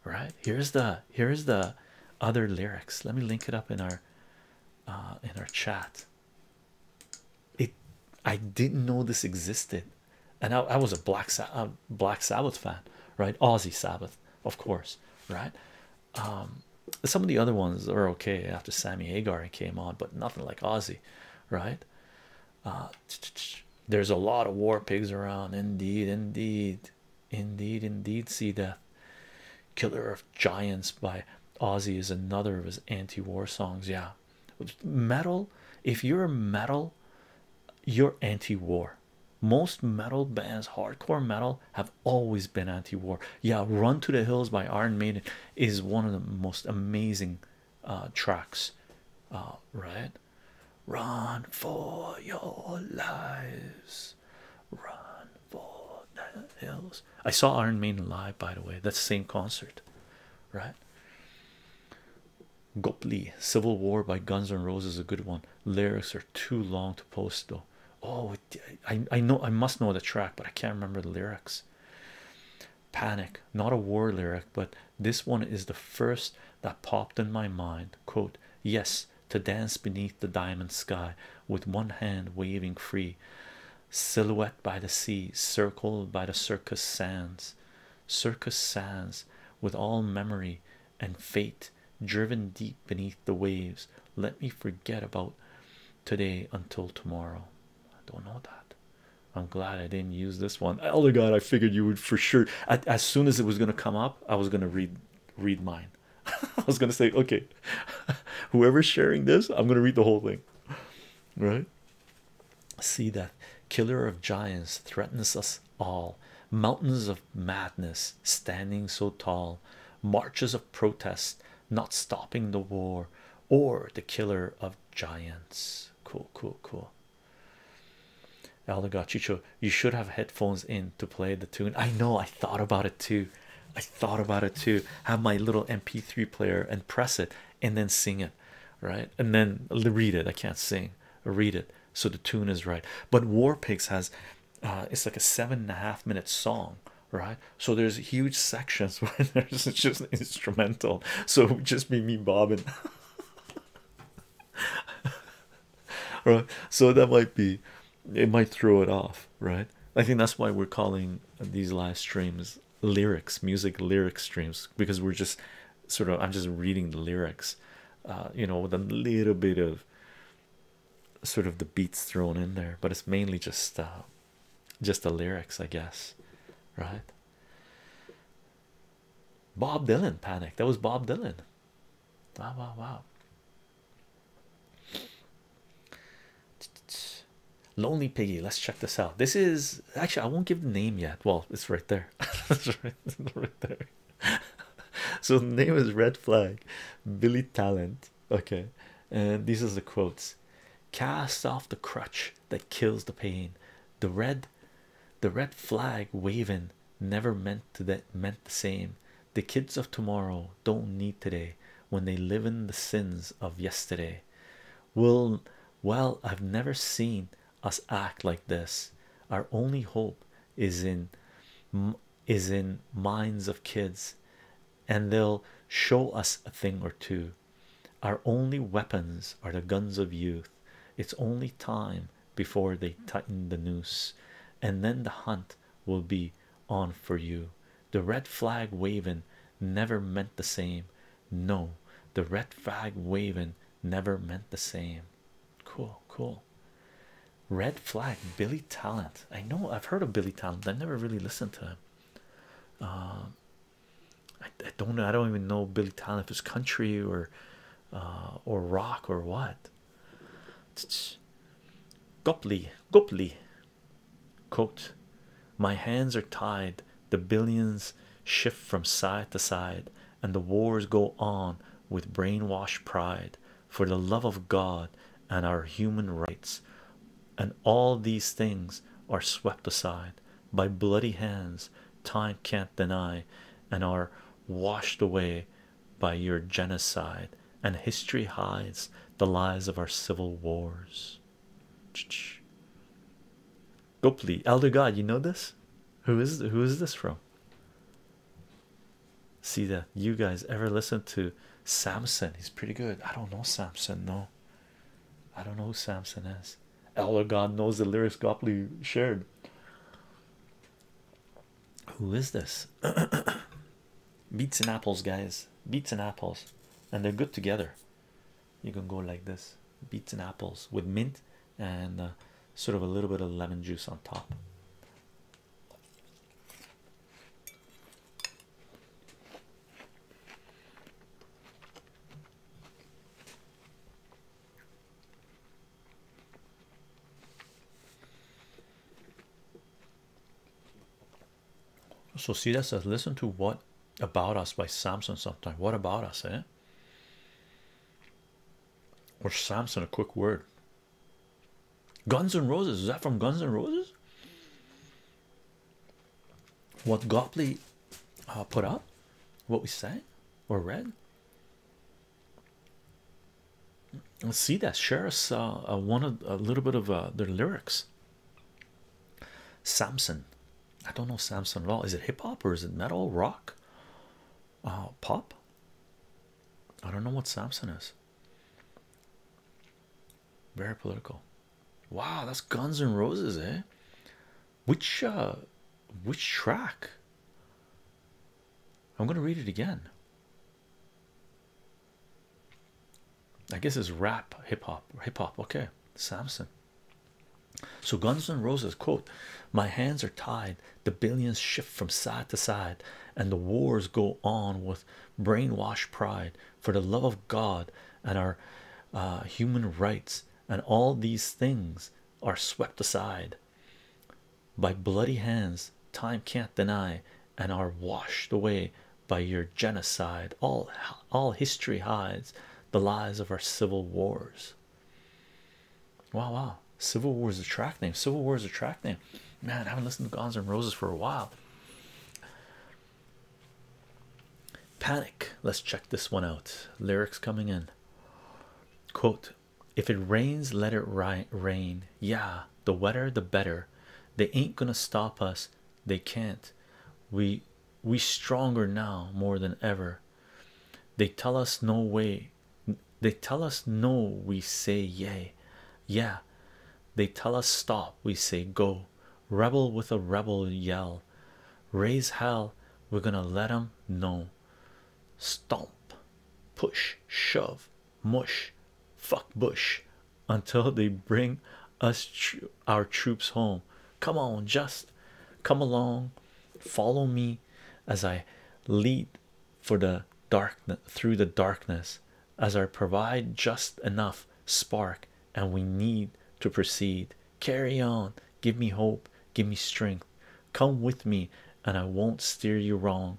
right here's the here's the other lyrics let me link it up in our uh in our chat it i didn't know this existed and i, was a black Sa black sabbath fan right aussie sabbath of course right um, some of the other ones are okay after Sammy Hagar came on, but nothing like Ozzy, right? Uh, there's a lot of war pigs around, indeed, indeed, indeed, indeed. See Death, Killer of Giants by Ozzy is another of his anti-war songs. Yeah, metal. If you're metal, you're anti-war. Most metal bands, hardcore metal, have always been anti-war yeah run to the hills by iron maiden is one of the most amazing uh, tracks uh, right run for your lives run for the hills i saw iron maiden live by the way that's the same concert right Gopley Civil War by Guns N' Roses is a good one. Lyrics are too long to post though. Oh, I, I know I must know the track but I can't remember the lyrics panic not a war lyric but this one is the first that popped in my mind quote yes to dance beneath the diamond sky with one hand waving free silhouette by the sea circled by the circus sands circus sands with all memory and fate driven deep beneath the waves. Let me forget about today until tomorrow. I don't know that. I'm glad I didn't use this one. Elder oh God, I figured you would for sure. as soon as it was gonna come up, I was gonna read read mine. I was gonna say, okay, whoever's sharing this, I'm gonna read the whole thing. Right? See that killer of giants threatens us all. Mountains of madness standing so tall, marches of protest, not stopping the war, or the killer of giants. Cool, cool, cool. Chicho, you should have headphones in to play the tune. I know, I thought about it too. I thought about it too. Have my little MP3 player and press it and then sing it, right? And then read it. I can't sing, read it. So the tune is right. But War Pigs has uh, it's like a seven and a half minute song right so there's huge sections where there's just instrumental so just be me bobbing right so that might be it might throw it off right i think that's why we're calling these live streams lyrics music lyric streams because we're just sort of i'm just reading the lyrics uh, you know with a little bit of sort of the beats thrown in there, but it's mainly just uh, just the lyrics, I guess, right? Bob Dylan panic. That was Bob Dylan. Wow, wow, wow. Lonely Piggy. Let's check this out. This is actually I won't give the name yet. Well, it's right there. it's right, right there. so the name is Red Flag. Billy Talent Okay, and these are the quotes: "Cast off the crutch that kills the pain. The red, the red flag waving never meant that meant the same. The kids of tomorrow don't need today when they live in the sins of yesterday. Well, well, I've never seen us act like this. Our only hope is in." is in minds of kids and they'll show us a thing or two. Our only weapons are the guns of youth. It's only time before they tighten the noose, and then the hunt will be on for you. The red flag waving never meant the same. No, the red flag waving never meant the same. Cool, cool. Red Flag, Billy Talent. I know I've heard of Billy Talent. I never really listened to him. Uh, I, don't know. I don't even know Billy Talent if it's country or uh, or rock or what. Gopley, Gopley. Coat. My hands are tied. The billions shift from side to side, and the wars go on with brainwashed pride for the love of God and our human rights, and all these things are swept aside by bloody hands time can't deny and are washed away by your genocide, and history hides the lies of our civil wars. Gopli, Elder God, you know this? Who is who is this from? see that you guys ever listen to Samson? He's pretty good. I don't know Samson, no. I don't know who Samson is. Elder God knows the lyrics Gopley shared. Who is this? Beets and apples, guys. Beets and apples, and they're good together. You can go like this beets and apples with mint and uh, sort of a little bit of lemon juice on top. So see that says listen to what about us by Samson sometime. What about us, eh? Or Samson, a quick word. Guns N' Roses is that from Guns N' Roses? What Gopley uh, put up? What we sang or read? Let's see that share us uh, one a little bit of uh, their lyrics. Samson, I don't know Samson at all. Is it hip hop or is it metal, rock, uh, pop? I don't know what Samson is. Very political. Wow, that's Guns and Roses, eh? Which uh which track? I'm gonna read it again. I guess it's rap hip hop hip hop okay Samson so Guns N' Roses quote my hands are tied the billions shift from side to side and the wars go on with brainwashed pride for the love of God and our uh, human rights, and all these things are swept aside by bloody hands time can't deny and are washed away by your genocide. All, all history hides the lies of our civil wars. Wow, wow. Civil wars are a track name. Civil wars are a track name. Man, I haven't listened to Guns and Roses for a while. Panic. Let's check this one out. Lyrics coming in. Quote If it rains, let it ri rain. Yeah, the wetter the better. They ain't gonna stop us. They can't. We we stronger now more than ever. They tell us no way. They tell us no, we say yay. Yeah, they tell us stop, we say go. Rebel with a rebel yell, raise hell. We're gonna let them know. Stomp, push, shove, mush, fuck bush until they bring us our troops home. Come on, just come along, follow me as I lead for the darkness through the darkness as I provide just enough spark and we need to proceed carry on give me hope give me strength come with me and i won't steer you wrong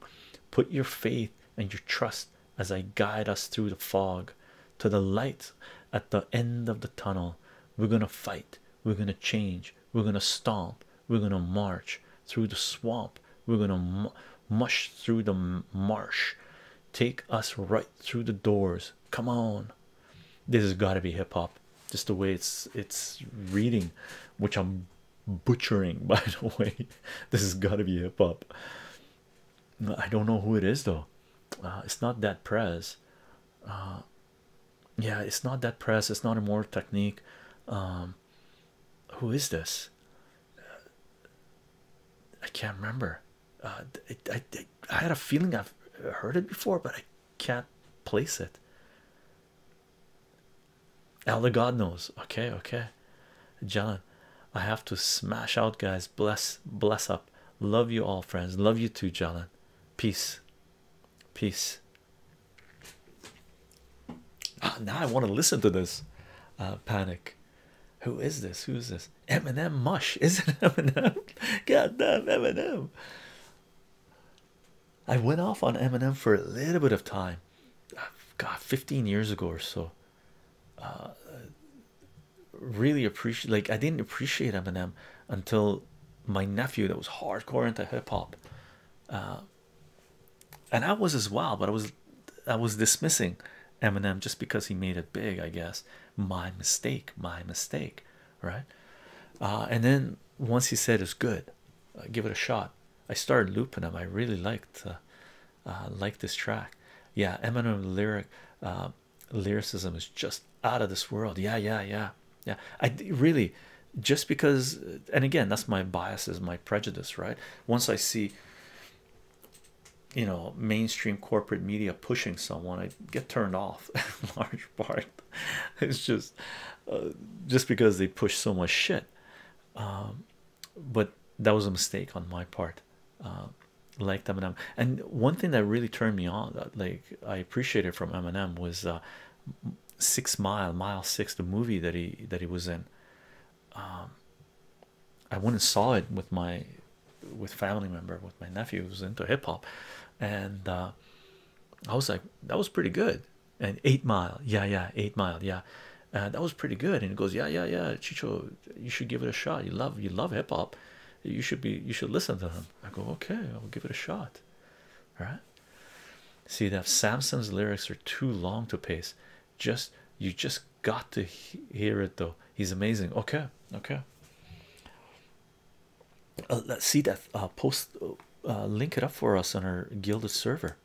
put your faith and your trust as i guide us through the fog to the light at the end of the tunnel we're gonna fight we're gonna change we're gonna stomp we're gonna march through the swamp we're gonna mush through the marsh take us right through the doors come on this has got to be hip-hop just the way it's it's reading which i'm butchering by the way this has got to be hip-hop i don't know who it is though uh, it's not that press uh, yeah it's not that press it's not a more technique um, who is this I can't remember. Uh, I, I had a feeling I've heard it before, but I can't place it. Elder God knows. Okay, okay. John, I have to smash out, guys. Bless, bless up. Love you all, friends. Love you too, John. Peace, peace. Ah, now I want to listen to this. Uh, panic. Who is this? Who is this? Eminem Mush, is it Eminem? God damn Eminem. I went off on Eminem for a little bit of time. God, 15 years ago or so. Uh, really appreciate like I didn't appreciate Eminem until my nephew that was hardcore into hip hop. Uh, and I was as well, but I was I was dismissing Eminem just because he made it big, I guess. My mistake, my mistake, right? Uh, and then once he said it's good, uh, give it a shot. I started looping him. I really liked uh, uh this track. Yeah, Eminem lyric uh, lyricism is just out of this world. Yeah, yeah, yeah, yeah. I really just because, and again, that's my biases, my prejudice, right? Once I see you know mainstream corporate media pushing someone i get turned off in large part it's just uh, just because they push so much shit um, but that was a mistake on my part uh, like Eminem and one thing that really turned me on like I appreciated from Eminem was uh, Six Mile Mile Six the movie that he that he was in um, I went and saw it with my with family member with my nephew who's into hip-hop and uh, I was like that was pretty good and eight mile yeah yeah eight mile yeah uh, that was pretty good and he goes yeah yeah yeah Chicho you should give it a shot you love you love hip-hop you should be you should listen to them I go okay I'll give it a shot all right see that Samson's lyrics are too long to pace just you just got to he hear it though he's amazing okay okay uh, let's see that uh post uh, uh link it up for us on our gilded server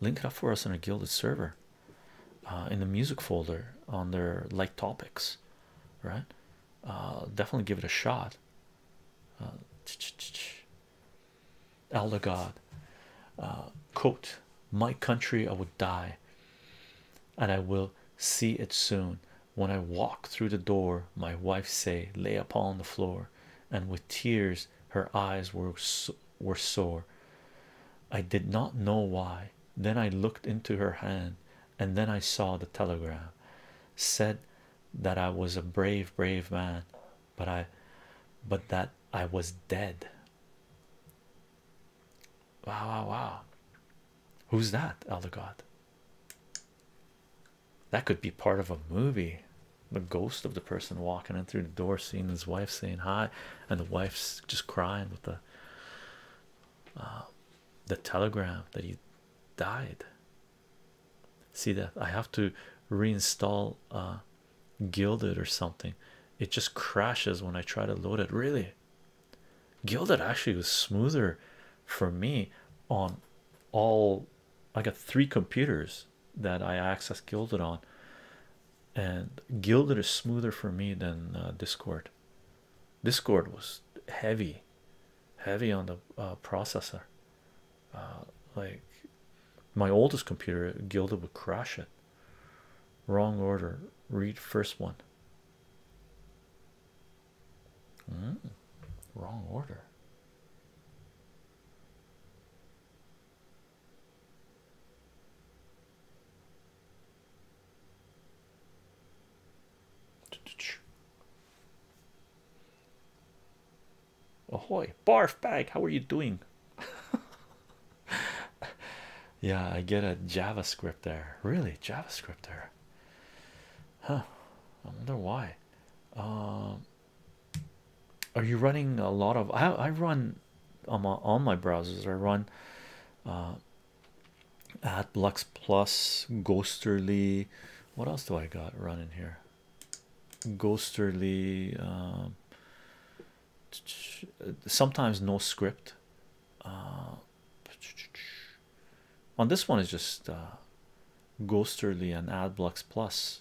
link it up for us on our gilded server uh in the music folder on their like topics right uh definitely give it a shot uh, ch -ch -ch. elder god uh quote my country i would die and I will see it soon. When I walk through the door, my wife say, lay upon the floor, and with tears her eyes were were sore. I did not know why. Then I looked into her hand, and then I saw the telegram. Said that I was a brave, brave man, but I, but that I was dead. Wow, wow, wow. Who's that, Elder That could be part of a movie. The ghost of the person walking in through the door, seeing his wife saying hi, and the wife's just crying with the uh, the telegram that he died. See that I have to reinstall uh, Gilded or something. It just crashes when I try to load it. Really, Gilded actually was smoother for me on all. I got three computers that I access Gilded on, and Gilded is smoother for me than uh, Discord. Discord was heavy, heavy on the uh, processor. Uh, like my oldest computer, Gilded would crash it. Wrong order. Read first one. Hmm. wrong order. Ahoy, barf bag, how are you doing? yeah, I get a JavaScript there. Really, JavaScript there. Huh? I wonder why. Um, are you running a lot of? I run on my my browsers. I run uh, AdBlocks Plus, Ghosterly. What else do I got running here? Ghosterly. Um, sometimes no script uh, on this one is just uh, ghosterly and adblocks plus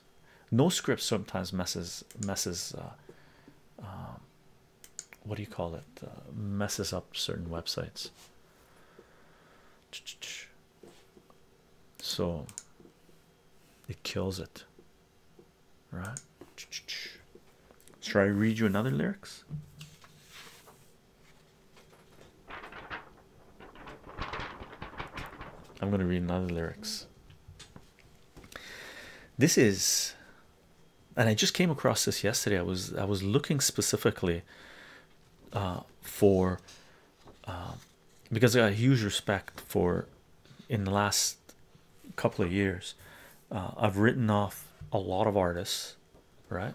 no script sometimes messes messes uh, um, what do you call it uh, messes up certain websites so it kills it right? Should I read you another lyrics? I'm gonna read another lyrics. This is, and I just came across this yesterday. I was I was looking specifically uh, for um, because I got a huge respect for in the last couple of years uh, I've written off a lot of artists, right?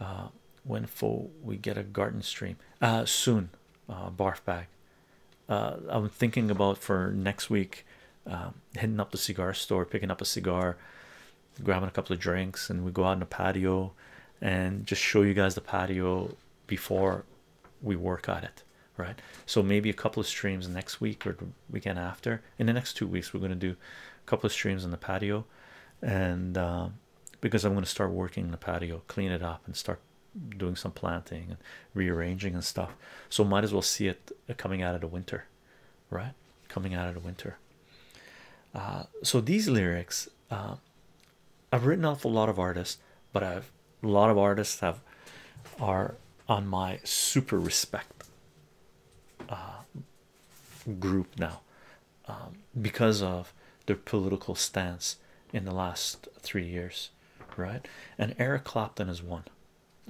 Uh, when for we get a garden stream uh, soon, barf bag. I'm thinking about for next week, um, heading up the cigar store, picking up a cigar, grabbing a couple of drinks, and we go out in the patio and just show you guys the patio before we work at it, right? So maybe a couple of streams next week or weekend after in the next two weeks we're going to do a couple of streams on the patio and uh, because i'm going to start working the patio clean it up and start doing some planting and rearranging and stuff so might as well see it uh, coming out of the winter right coming out of the winter uh, so these lyrics i've written off a lot of artists but a lot of artists have are on my super respect uh, group now um, because of their political stance in the last three years, right? And Eric Clapton is one.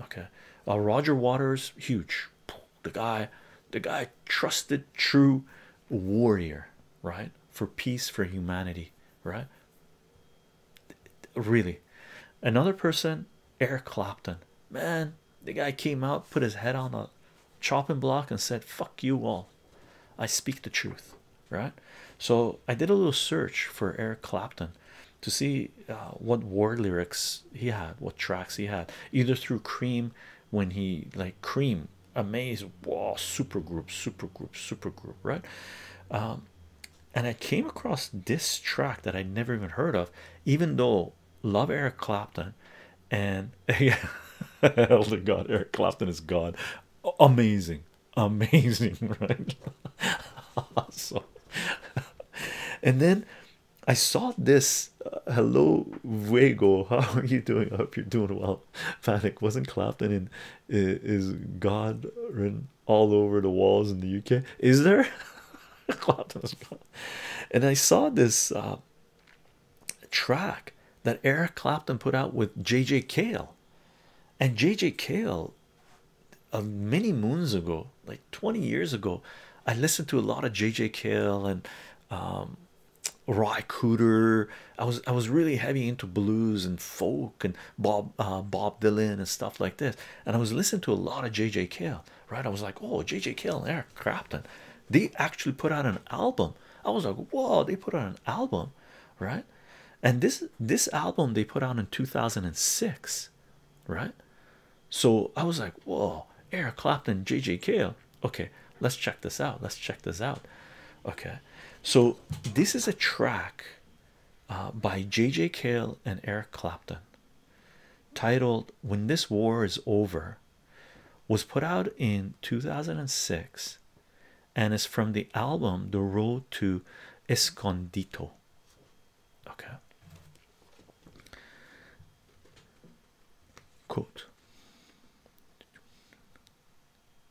Okay, uh, Roger Waters, huge. The guy, the guy, trusted, true warrior, right? For peace, for humanity, right? Really, another person Eric Clapton. Man, the guy came out, put his head on a chopping block, and said, Fuck you all. I speak the truth, right? So I did a little search for Eric Clapton to see uh, what war lyrics he had, what tracks he had, either through Cream when he like Cream, Amaze, wow, super group, super group, super group, right? Um, and I came across this track that I never even heard of even though love Eric Clapton and yeah, elder god Eric Clapton is God, amazing, amazing, right? awesome. And then I saw this. Uh, hello, Vego. How are you doing? I hope you're doing well. Panic wasn't Clapton in is God written all over the walls in the UK? Is there? and I saw this uh, track that Eric Clapton put out with JJ Cale, and JJ Cale, uh, many moons ago, like 20 years ago, I listened to a lot of JJ Cale and um, Roy I was I was really heavy into blues and folk and Bob uh, Bob Dylan and stuff like this, and I was listening to a lot of JJ Cale right? I was like, oh, JJ Kill and Eric Clapton, they actually put out an album. I was like, whoa, they put out an album, right? And this this album they put out in 2006, right? So I was like, whoa, Eric Clapton, JJ Kill. Okay, let's check this out. Let's check this out. Okay, so this is a track uh, by JJ Cale and Eric Clapton titled When This War Is Over was put out in 2006 and is from the album The Road to Escondido." Okay. Quote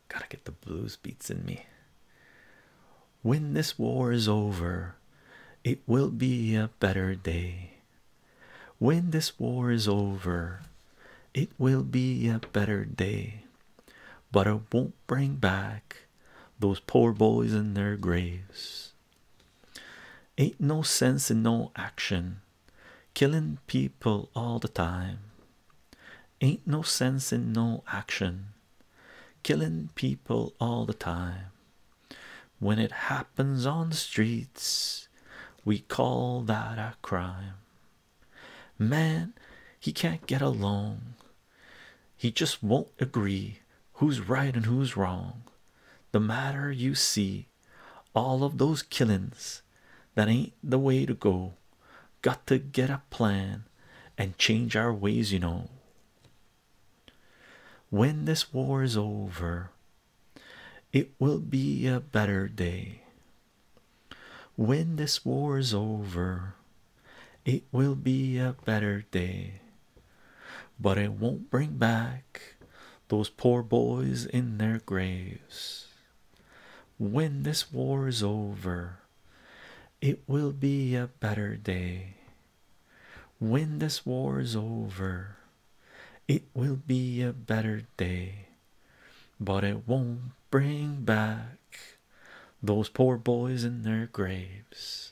Gotta get the blues beats in me. When this war is over, it will be a better day when this war is over. It will be a better day, but it won't bring back those poor boys in their graves. Ain't no sense in no action, killing people all the time. Ain't no sense in no action, killing people all the time. When it happens on the streets, we call that a crime. Man, he can't get along. He just won't agree who's right and who's wrong. The matter you see, all of those killings, that ain't the way to go. Got to get a plan and change our ways, you know. When this war is over, it will be a better day. When this war is over, it will be a better day. But it won't bring back those poor boys in their graves. When this war is over, it will be a better day. When this war's over, it will be a better day, but it won't bring back those poor boys in their graves.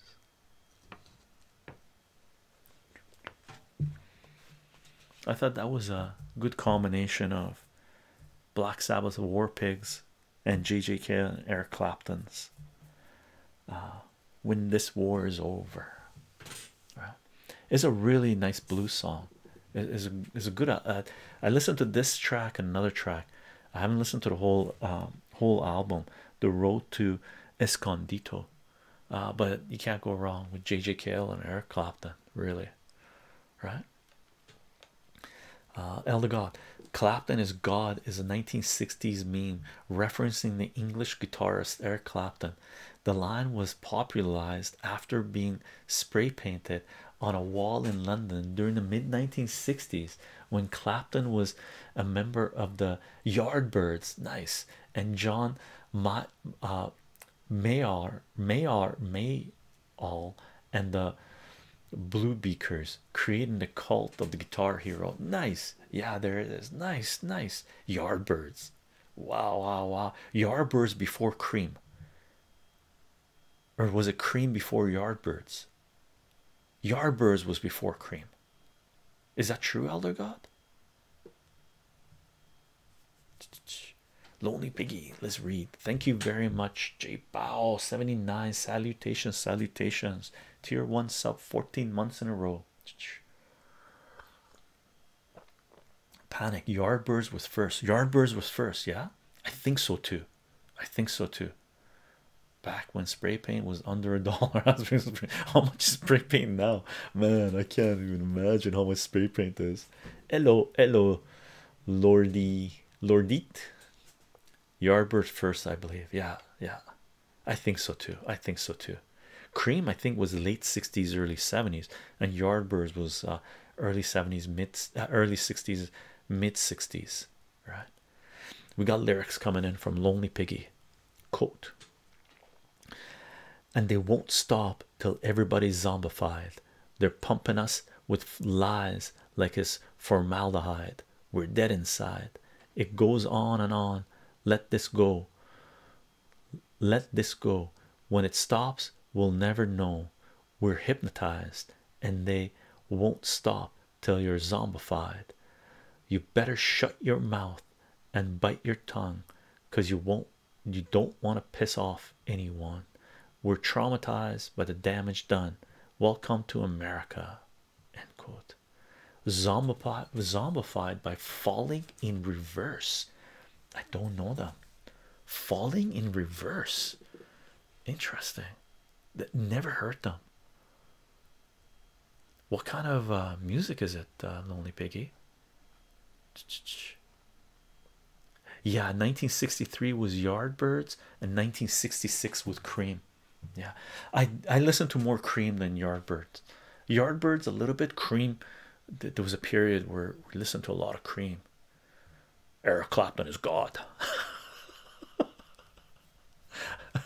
I thought that was a good combination of Black Sabbath War Pigs and J.J. JJK and Eric Clapton's uh, when this war is over right? it's a really nice blues song it is a, it's a good uh, uh, i listened to this track and another track i haven't listened to the whole um, whole album the road to escondito uh, but you can't go wrong with jj Cale and eric clapton really right uh elder god clapton is god is a 1960s meme referencing the English guitarist Eric Clapton. The line was popularized after being spray painted on a wall in London during the mid 1960s when Clapton was a member of the Yardbirds. Nice, and John Ma uh, May all and the Blue Beakers creating the cult of the guitar hero. Nice, yeah, there it is. Nice, nice. Yardbirds. Wow, wow, wow. Yardbirds before cream. Or was it cream before Yardbirds? Yardbirds was before cream. Is that true, Elder God? Lonely Piggy, let's read. Thank you very much, J Bow 79. Salutations, salutations. Tier 1 sub 14 months in a row. Panic. Yardbirds was first. Yardbirds was first. Yeah, I think so too. I think so too. Back when spray paint was under a dollar, how much is spray paint now? Man, I can't even imagine how much spray paint is. Hello, hello, Lordy, Lordit. Yardbirds first, I believe. Yeah, yeah. I think so too. I think so too. Cream, I think, was late 60s, early 70s, and Yardbirds was uh, early 70s, mid uh, early 60s, mid 60s. Right, we got lyrics coming in from Lonely Piggy. Quote, and they won't stop till everybody's zombified. They're pumping us with lies like it's formaldehyde. We're dead inside. It goes on and on. Let this go let this go when it stops we'll never know we're hypnotized and they won't stop till you're zombified you better shut your mouth and bite your tongue because you won't you don't want to piss off anyone we're traumatized by the damage done welcome to america zombified by falling in reverse i don't know them falling in reverse interesting that never hurt them what kind of uh, music is it uh, lonely piggy yeah 1963 was yardbirds and 1966 was cream yeah i i listened to more cream than yardbirds Yardbirds a little bit. Cream. There was a period where we listened to a lot of Cream. Eric Clapton is God.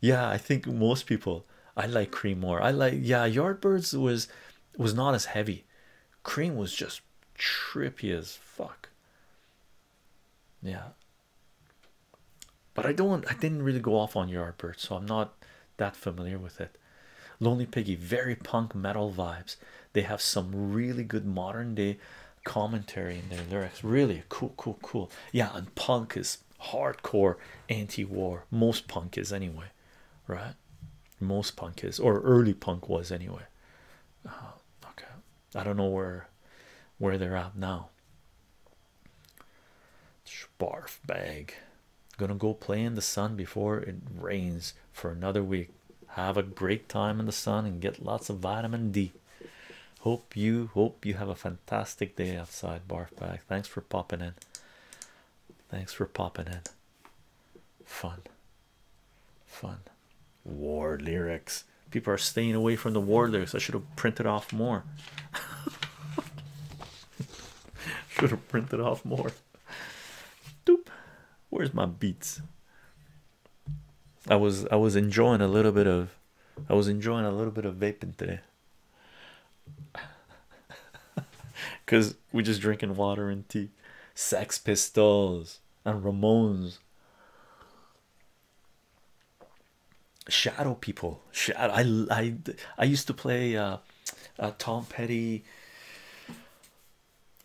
yeah, I think most people. I like Cream more. I like yeah. Yardbirds was was not as heavy. Cream was just trippy as fuck. Yeah, but I don't I didn't really go off on your art, Yardbird, so I'm not that familiar with it. Lonely Piggy, very punk metal vibes. They have some really good modern day commentary in their lyrics. Really cool, cool, cool. Yeah, and punk is hardcore anti-war. Most punk is anyway, right? Most punk is, or early punk was anyway. Uh, okay, I don't know where where they're at now. Barf bag. Gonna go play in the sun before it rains for another week. Have a great time in the sun and get lots of vitamin D. Hope you hope you have a fantastic day outside. Barf bag. Thanks for popping in. Thanks for popping in. Fun. Fun. War lyrics. People are staying away from the war lyrics. I should have printed off more. Should have printed off more. Doop. Where's my beats? I was I was enjoying a little bit of I was enjoying a little bit of vaping today. Cause we we're just drinking water and tea. Sex Pistols and Ramones shadow people shadow i i i used to play uh, uh, tom petty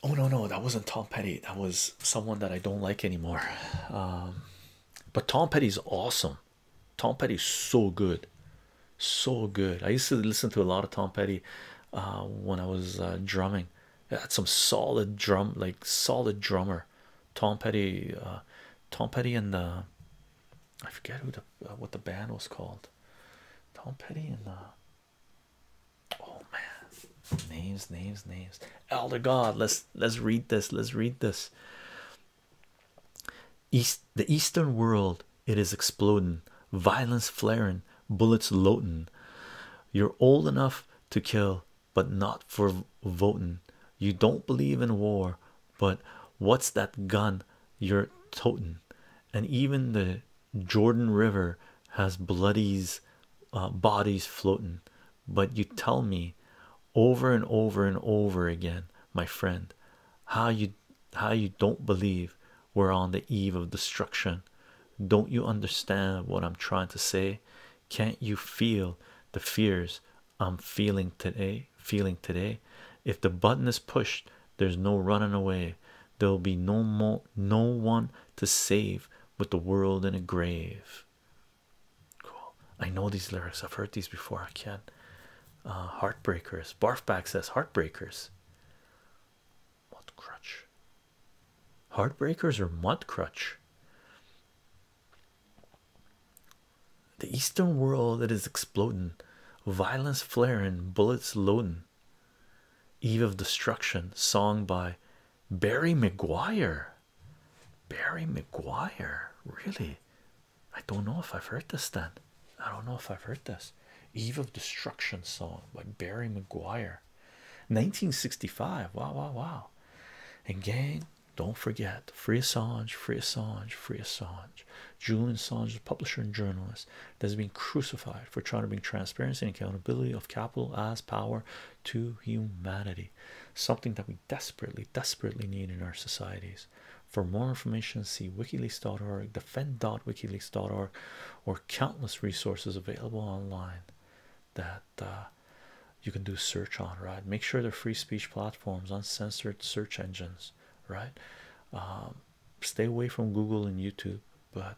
oh no no that wasn't tom petty that was someone that i don't like anymore um, but tom petty's awesome tom petty's so good so good i used to listen to a lot of tom petty uh, when i was drumming that's some solid drum like solid drummer tom petty tom petty and the I forget who the uh, what the band was called. Tom Petty and uh, oh man, names, names, names. Elder God. Let's let's read this. Let's read this. East the Eastern world. It is exploding, violence flaring, bullets loading. You're old enough to kill, but not for votin. You don't believe in war, but what's that gun you're totin', And even the Jordan River has bloodies, uh, bodies floating. But you tell me over and over and over again, my friend, how you how you don't believe we're on the eve of destruction. Don't you understand what I'm trying to say? Can't you feel the fears I'm feeling today feeling today if the button is pushed there's no running away there'll be no more no one to save with the world in a grave cool I know these lyrics I've heard these before I can't uh, heartbreakers barfback says heartbreakers mud crutch heartbreakers or mud the Eastern world that is exploding, violence flaring, bullets loading. Eve of Destruction, song by Barry McGuire. Barry McGuire, really? I don't know if I've heard this then. I don't know if I've heard this. Eve of Destruction song by Barry McGuire. 1965. Wow, wow, wow. And gang, don't forget, free Assange, free Assange, free Assange. Julian Assange, the publisher and journalist, that has been crucified for trying to bring transparency and accountability of capital as power to humanity. Something that we desperately, desperately need in our societies. For more information, see wikileaks.org, defend.wikileaks.org, or countless resources available online that uh, you can do search on. Right, make sure they're free speech platforms platforms, uncensored search engines, right? Um, stay away from Google and YouTube, but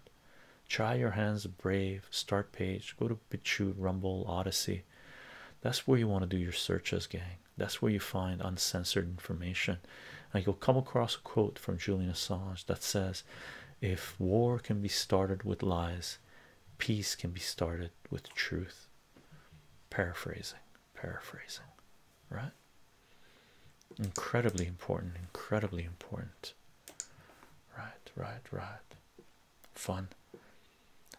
try your hands brave start page go to BitChute, rumble odyssey that's where you want to do your searches gang that's where you find uncensored information and you'll come across a quote from julian assange that says if war can be started with lies peace can be started with truth paraphrasing Paraphrasing, right? Incredibly important, incredibly important. Right, right, right. Fun.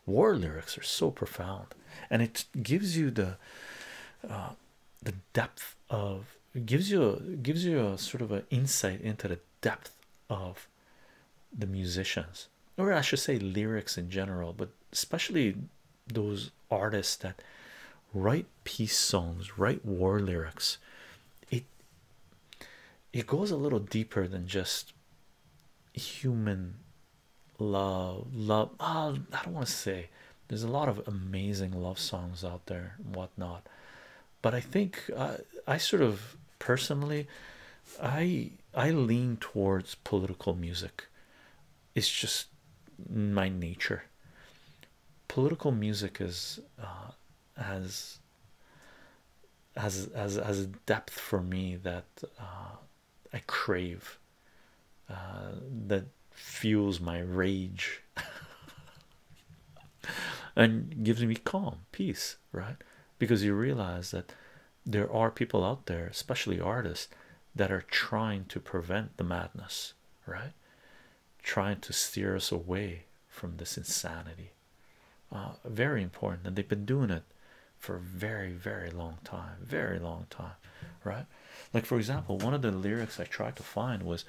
War lyrics are so profound, and it gives you the uh, the depth of gives you gives you a sort of an insight into the depth of the musicians or I should say lyrics in general, but especially those artists that write peace songs, write war lyrics. It it goes a little deeper than just human love, love. Oh, I don't want to say there's a lot of amazing love songs out there whatnot, but I think uh, I sort of personally, I I lean towards political music it's just my nature. Political music is uh, has has as a depth for me that uh, I crave uh, that fuels my rage and gives me calm peace right because you realize that there are people out there, especially artists, that are trying to prevent the madness, right? Trying to steer us away from this insanity. Uh, very important, and they've been doing it for a very, very long time, very long time, right? Like, for example, one of the lyrics I tried to find was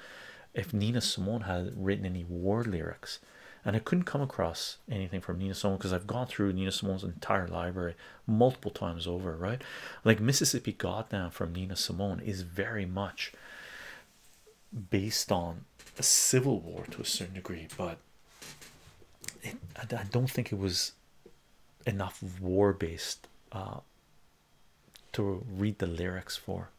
if Nina Simone had written any war lyrics, and I couldn't come across anything from Nina Simone because I've gone through Nina Simone's entire library multiple times over, right? Like Mississippi Goddamn from Nina Simone is very much based on a civil war to a certain degree, but I, don't think it was enough war based uh, to read the lyrics for,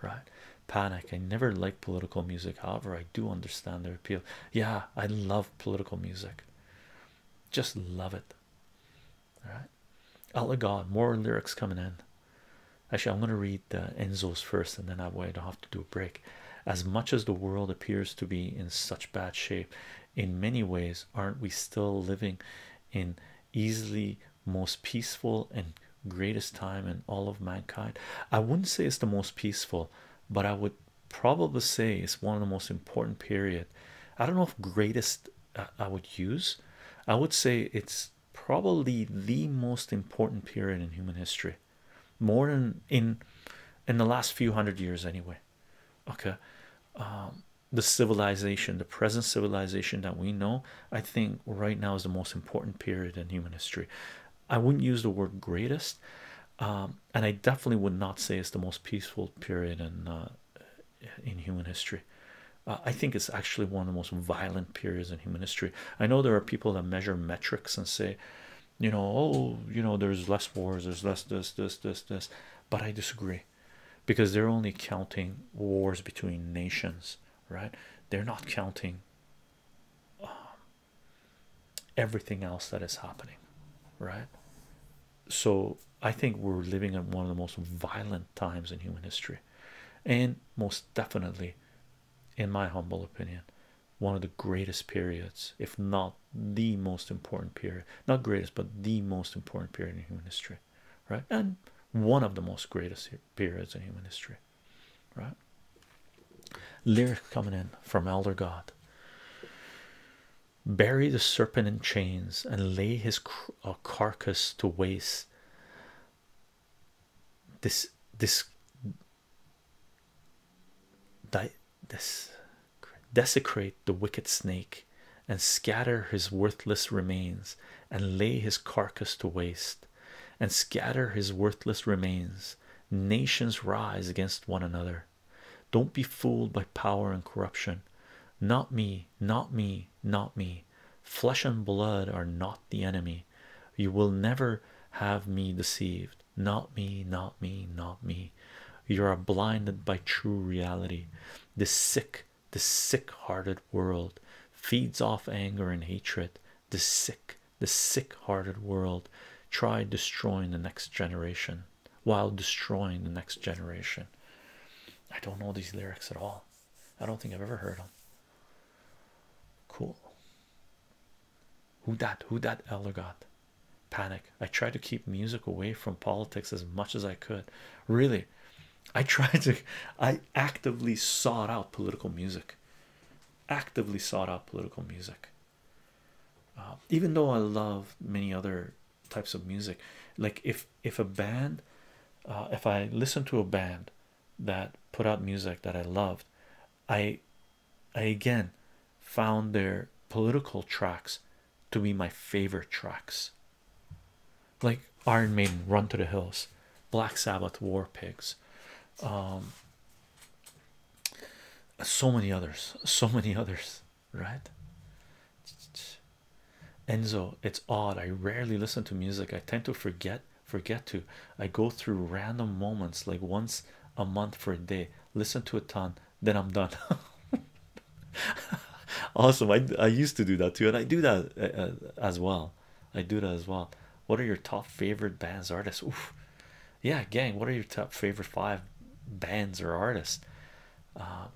right? Panic. I never like political music, however, I do understand the appeal. Yeah, I love political music, just love it. All right, Allah God, more lyrics coming in. Actually, I'm going to read uh, Enzo's first, and then I will have to do a break. As much as the world appears to be in such bad shape, in many ways, aren't we still living in easily most peaceful and greatest time in all of mankind? I wouldn't say it's the most peaceful, but I would probably say is one of the most important period. I don't know if greatest uh, I would use. I would say it's probably the most important period in human history, more than in in the last few hundred years anyway. Okay, um, the civilization, the present civilization that we know, I think right now is the most important period in human history. I wouldn't use the word greatest. Um, and I definitely would not say it's the most peaceful period in uh, in human history. Uh, I think it's actually one of the most violent periods in human history. I know there are people that measure metrics and say, you know, oh, you know, there's less wars, there's less this, this, this, this, but I disagree, because they're only counting wars between nations, right? They're not counting um, everything else that is happening, right? so I think we're living in one of the most violent times in human history, and most definitely, in my humble opinion, one of the greatest periods, if not the most important period, not greatest, but the most important period in human history, right? And one of the most greatest periods in human history, right? Lyric coming in from Elder God bury the serpent in chains and lay his uh, carcass to waste this this this desecrate the wicked snake and scatter his worthless remains and lay his carcass to waste and scatter his worthless remains nations rise against one another don't be fooled by power and corruption. Not me, not me, not me. Flesh and blood are not the enemy. You will never have me deceived. Not me, not me, not me. You are blinded by true reality. The sick, the sick-hearted world feeds off anger and hatred. The sick, the sick-hearted world. Try destroying the next generation while destroying the next generation. I don't know these lyrics at all. I don't think I've ever heard them. Cool. Who that? Who that? Elder God. Panic. I tried to keep music away from politics as much as I could. Really, I tried to. I actively sought out political music. Actively sought out political music. Uh, even though I love many other types of music like if if a band uh, if i listen to a band that put out music that i loved i i again found their political tracks to be my favorite tracks like iron maiden run to the hills black sabbath war pigs um so many others so many others right? Enzo, it's odd. I rarely listen to music. I tend to forget, forget to. I go through random moments like once a month for a day. Listen to a ton, then I'm done. awesome. I I used to do that too, and I do that uh, uh, as well. I do that as well. What are your top favorite bands, artists? Yeah, gang. What are your top favorite five bands or artists? uh,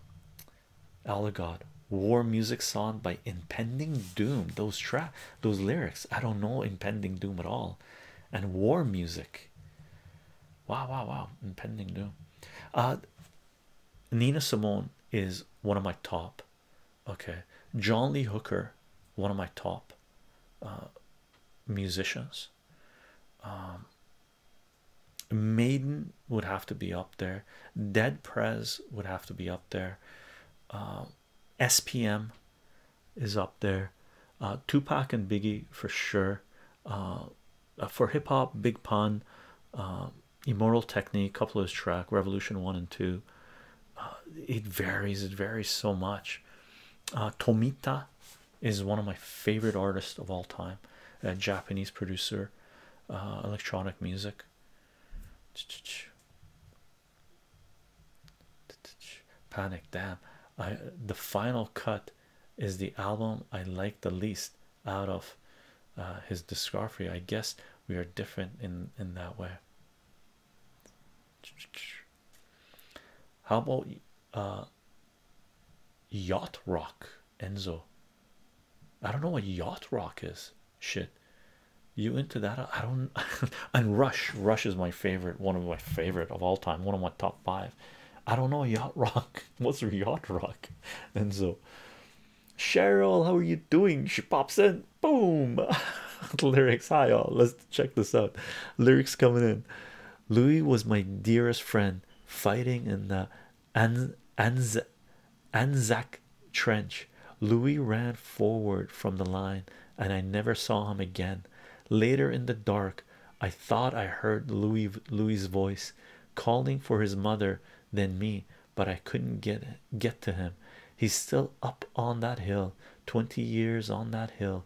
Allegod war music song by impending doom those track those lyrics I don't know impending doom at all and war music wow wow wow impending doom uh Nina Simone is one of my top okay John Lee Hooker one of my top uh, musicians um, Maiden would have to be up there. Dead Prez would have to be up there. Uh, SPM is up there. Uh, Tupac and Biggie for sure. Uh, for hip hop, Big Pun, uh, Immortal Technique, couple of track, Revolution One and Two. it varies. It varies so much. Tomita is one of my favorite artists of all time, a Japanese producer, uh, electronic music. Panic, damn! I the final cut is the album I like the least out of uh, his discography. I guess we are different in in that way. How about uh, yacht rock? Enzo. I don't know what yacht rock is. Shit, you into that? I don't. and Rush, Rush is my favorite, one of my favorite of all time, one of my top five. I don't know yacht rock. What's yacht rock? Enzo, Cheryl, how are you doing? She pops in. Boom. Lyrics. Hi all. Let's check this out. Lyrics coming in. Louis was my dearest friend, fighting in the and Anz Anzac Trench. Louis ran forward from the line, and I never saw him again. Later in the dark, I thought I heard Louis Louis's voice calling for his mother, then me, but I couldn't get get to him. He's still up on that hill, twenty years on that hill,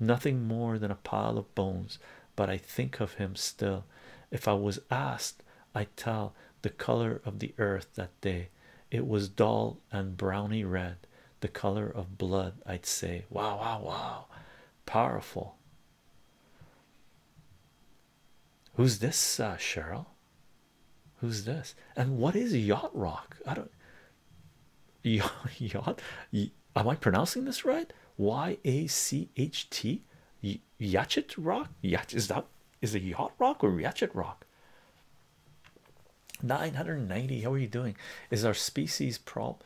nothing more than a pile of bones, but I think of him still. If I was asked, I would tell the color of the earth that day. It was dull and browny red, the color of blood. I'd say, Wow, wow, wow, powerful. Who's this, uh, Cheryl? Who's this? And what is yacht rock? I don't yacht. yacht am I pronouncing this right? Y a c h t Yachet rock? Yach is that is it yacht rock or Yachet rock? 990. How are you doing? Is our species problem?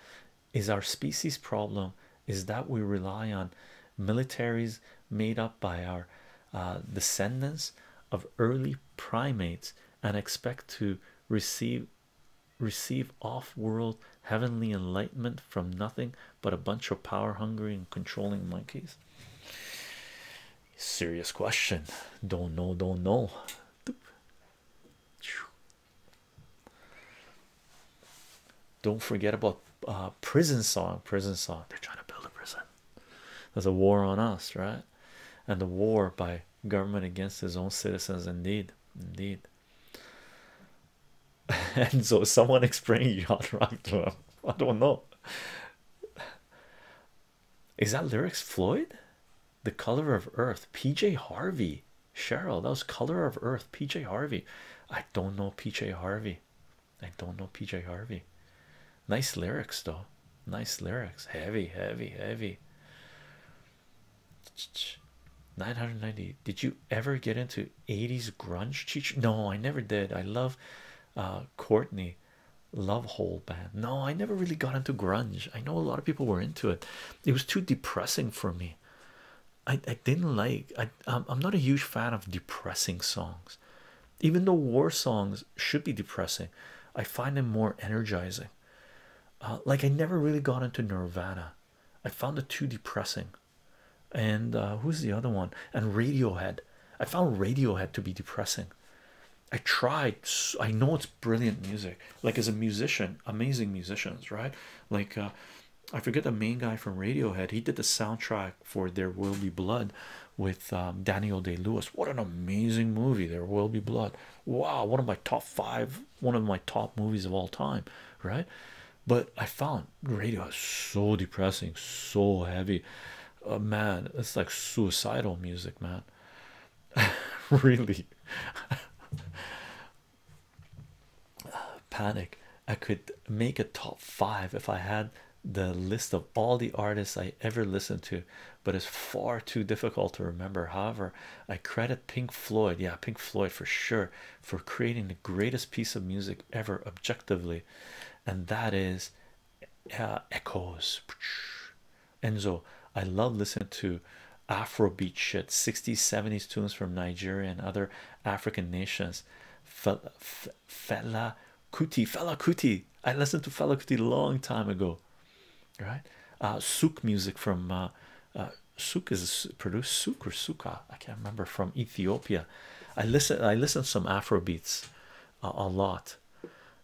Is our species problem? Is that we rely on militaries made up by our uh, descendants of early primates and expect to receive receive off-world heavenly enlightenment from nothing but a bunch of power hungry and controlling monkeys? Serious question. Don't know, don't know. Don't forget about uh, prison song. Prison song. They're trying to build a prison. There's a war on us, right? And the war by government against his own citizens, indeed, indeed. and so someone explaining you how to them. I don't know. Is that lyrics Floyd? The color of earth, PJ Harvey, Cheryl. That was color of earth, PJ Harvey. I don't know PJ Harvey. I don't know PJ Harvey. Nice lyrics though. Nice lyrics. Heavy, heavy, heavy. 990 did you ever get into 80s grunge no i never did i love uh, courtney love hole band no i never really got into grunge i know a lot of people were into it it was too depressing for me i, I didn't like i i'm not a huge fan of depressing songs even though war songs should be depressing i find them more energizing uh, like i never really got into nirvana i found it too depressing and uh, who's the other one? And Radiohead. I found Radiohead to be depressing. I tried, I know it's brilliant music, like as a musician, amazing musicians, right? Like, uh, I forget the main guy from Radiohead, he did the soundtrack for There Will Be Blood with um, Daniel Day Lewis. What an amazing movie! There Will Be Blood. Wow, one of my top five, one of my top movies of all time, right? but I found radio so depressing, so heavy. Uh, man, it's like suicidal music, man. really, panic. I could make a top five if I had the list of all the artists I ever listened to, but it's far too difficult to remember. However, I credit Pink Floyd, yeah, Pink Floyd for sure, for creating the greatest piece of music ever objectively, and that is uh, Echoes. Enzo, I love listening to Afrobeat shit, 60s, 70s tunes from Nigeria and other African nations. Fela, Kuti, Fela Kuti. I listened to Fela Kuti long time ago, right? Uh, souk music from uh, uh Suk is produced Suk or Suka, I can't remember from Ethiopia. I listen, I listen to some Afro beats uh, a lot.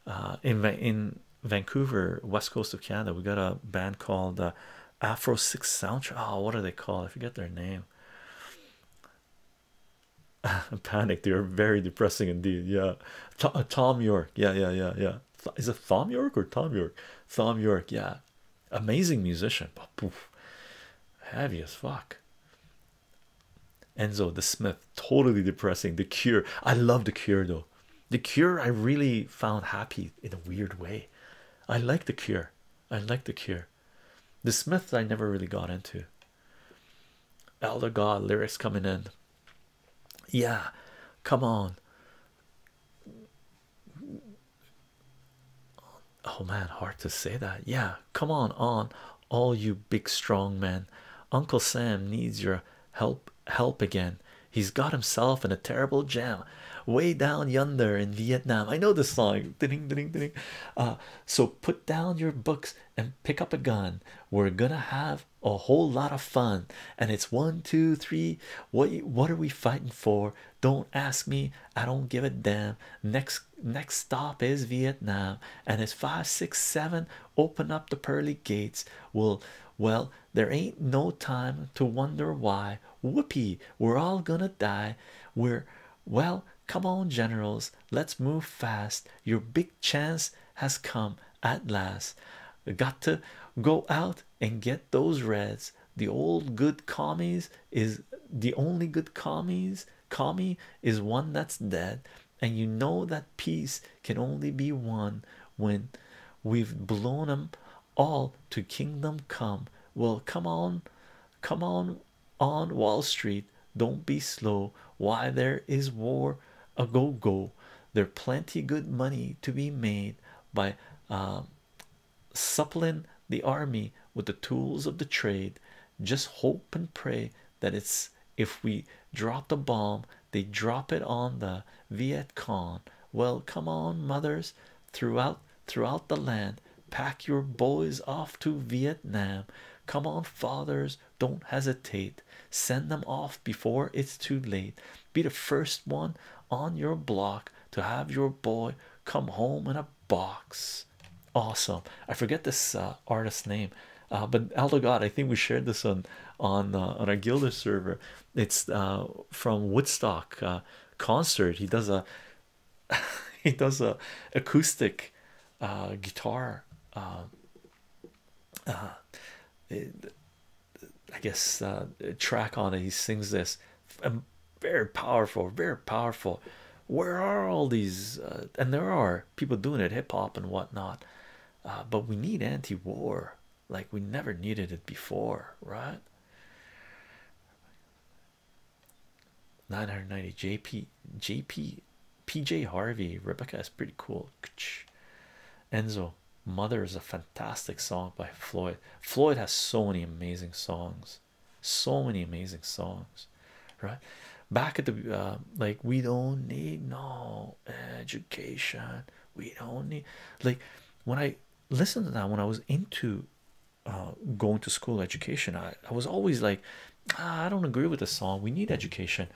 Uh, in in Vancouver, west coast of Canada, we got a band called uh, Afro Six Soundtrack. Oh, what are they called? I forget their name. Panic, they are very depressing indeed. Yeah, Tom York. Yeah, yeah, yeah, yeah. is it Tom York or Tom York? Tom York, yeah amazing musician, but poof, heavy as fuck. Enzo the Smith, totally depressing. The Cure, I love The Cure though. The Cure, I really found happy in a weird way. I like The Cure. I like The Cure. The Smiths, I never really got into. Elder God lyrics coming in. Yeah, come on. Oh man, hard to say that. Yeah, come on, on all you big strong men. Uncle Sam needs your help help again. He's got himself in a terrible jam way down yonder in Vietnam. I know the song. Ding, ding, ding. Uh, so put down your books and pick up a gun. We're gonna have a whole lot of fun. And it's one, two, three. What what are we fighting for? Don't ask me, I don't give a damn. Next next stop is Vietnam, and it's five, six, seven. Open up the pearly gates. Well, well, there ain't no time to wonder why. Whoopee, we're all gonna die. We're well, come on, generals, let's move fast. Your big chance has come at last. Got to go out and get those reds. The old good commies is the only good commies commie is one that's dead and you know that peace can only be won when we've blown them all to kingdom come well come on come on on wall street don't be slow why there is war a go go there plenty good money to be made by um suppling the army with the tools of the trade just hope and pray that it's if we drop the bomb they drop it on the Viet Cong well come on mothers throughout throughout the land pack your boys off to Vietnam come on fathers don't hesitate send them off before it's too late be the first one on your block to have your boy come home in a box awesome. I forget this uh, artist's name, uh, but Aldo God, I think we shared this on on uh, on our Gilder server. It's from Woodstock concert. He does a he does a acoustic guitar. Um, I guess track on it. He sings this um, very powerful very powerful where are all these uh, and there are people doing it hip-hop and whatnot uh, but we need anti-war like we never needed it before right 990 jp jp pj harvey rebecca is pretty cool enzo mother is a fantastic song by floyd floyd has so many amazing songs so many amazing songs right back at the uh, like we don't need no education we don't need like when i listened to that when i was into uh, going to school education I, I was always like ah, i don't agree with the song we need education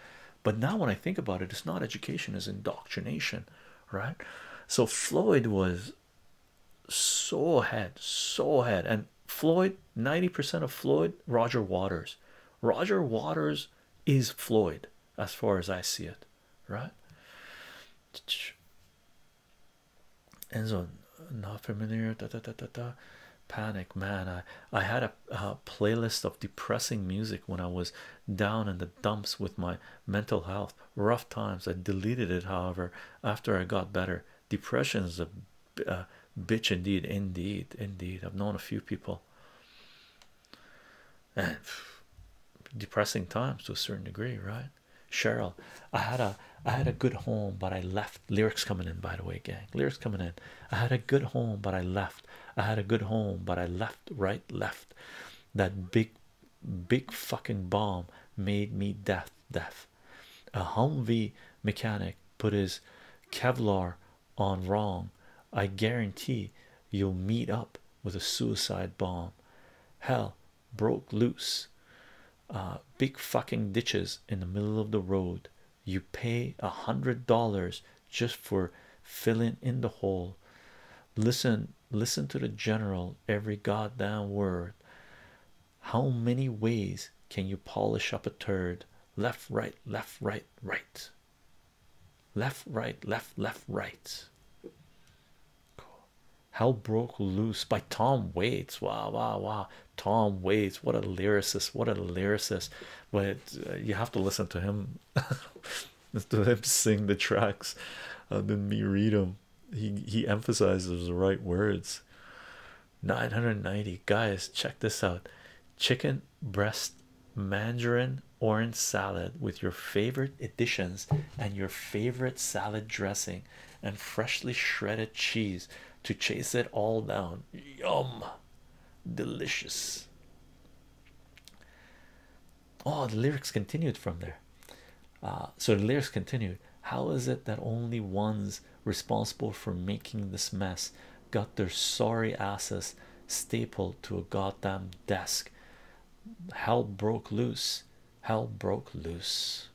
but now when i think about it it's not education it's indoctrination right so floyd was so ahead, And Floyd, 90% of Floyd, Roger Waters. Roger Waters is Floyd, as far as I see it, right? And so, not familiar. Da, da, Panic, man. I I had a playlist of depressing music when I was down in the dumps with my mental health, rough times. I deleted it, however, after I got better. Depression is a, uh, bitch indeed, indeed, indeed. I've known a few people, and depressing times to a certain degree, right? Cheryl, I had a I had a good home, but I left. Lyrics coming in, by the way, gang. Lyrics coming in. I had a good home, but I left. I had a good home, but I left. Right, left. That big, big fucking bomb made me deaf, deaf off. A Humvee mechanic put his Kevlar on wrong. I guarantee you'll meet up with a suicide bomb. Hell broke loose. Uh, big fucking ditches in the middle of the road. You pay a hundred dollars just for filling in the hole. Listen, listen to the general every goddamn word how many ways can you polish up a turd? Left, right, left, right, right, left, right, left, left, right. Hell broke loose by Tom Waits. Wah wah wah! Tom Waits, what a lyricist! What a lyricist! But uh, you have to listen to him, to him sing the tracks, uh, than me read them he he emphasizes the right words 990 guys check this out chicken breast mandarin orange salad with your favorite additions and your favorite salad dressing and freshly shredded cheese to chase it all down yum delicious oh the lyrics continued from there uh, so the lyrics continued how is it that only ones responsible for making this mess got their sorry asses stapled to a goddamn desk. Hell broke loose. Hell broke loose.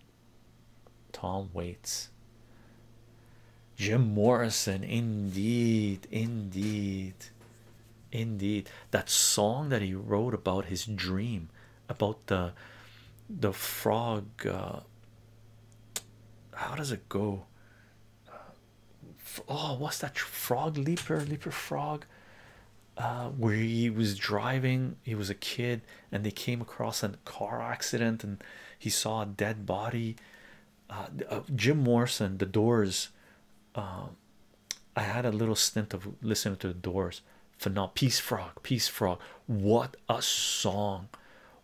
Tom waits. Jim Morrison, indeed, indeed, indeed. That song that he wrote about his dream about the the frog uh, how does it go uh, oh what's that frog leaper leaper frog uh, where he was driving he was a kid and they came across a car accident and he saw a dead body Jim Morrison the doors I had a little stint of listening to the doors for now peace frog peace frog what a song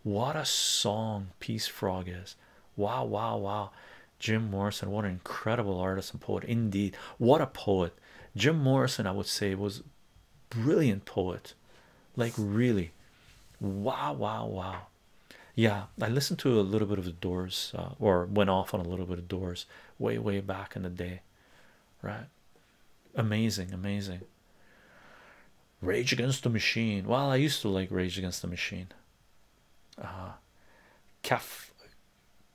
what a song peace frog is wow wow wow jim morrison what an incredible artist and poet indeed what a poet jim morrison i would say was brilliant poet like really wow wow wow yeah i listened to a little bit of the doors uh, or went off on a little bit of doors way way back in the day right amazing amazing rage against the machine well i used to like rage against the machine uh Kaf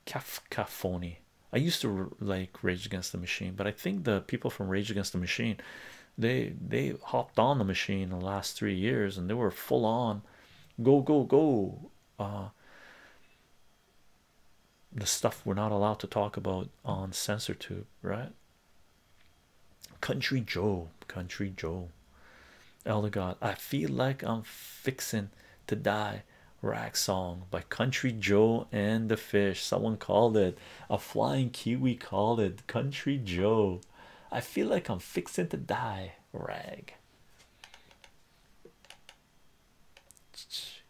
Kafkaphony. I used to like Rage Against the Machine, but I think the people from Rage Against the Machine, they they hopped on the machine the last three years, and they were full on, go go go. Uh, the stuff we're not allowed to talk about on censor tube, right? Country Joe, Country Joe, Elder God. I feel like I'm fixin' to die. Rag song by Country Joe and the Fish. Someone called it a flying kiwi. Called it Country Joe. I feel like I'm fixin' to die. Rag.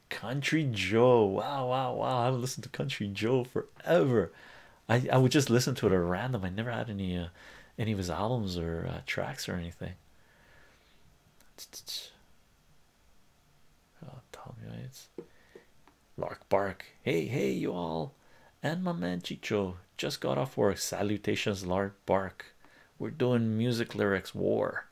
Country Joe. Wow, wow, wow. I haven't listened to Country Joe forever. I I would just listen to it at random. I never had any uh, any of his albums or uh, tracks or anything. Oh, Tommy Yates. Lark Bark. Hey, hey, you all. And my man Chicho just got off work. Salutations, Lark Bark. We're doing music lyrics war.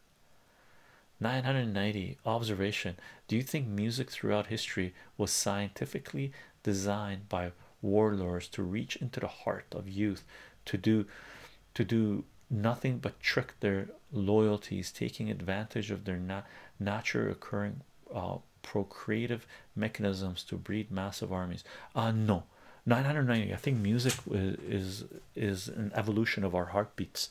990 observation do you think music throughout history was scientifically designed by warlords to reach into the heart of youth to do to do nothing but trick their loyalties taking advantage of their na natural occurring uh, procreative mechanisms to breed massive armies Ah, no 990 i think music is is an evolution of our heartbeats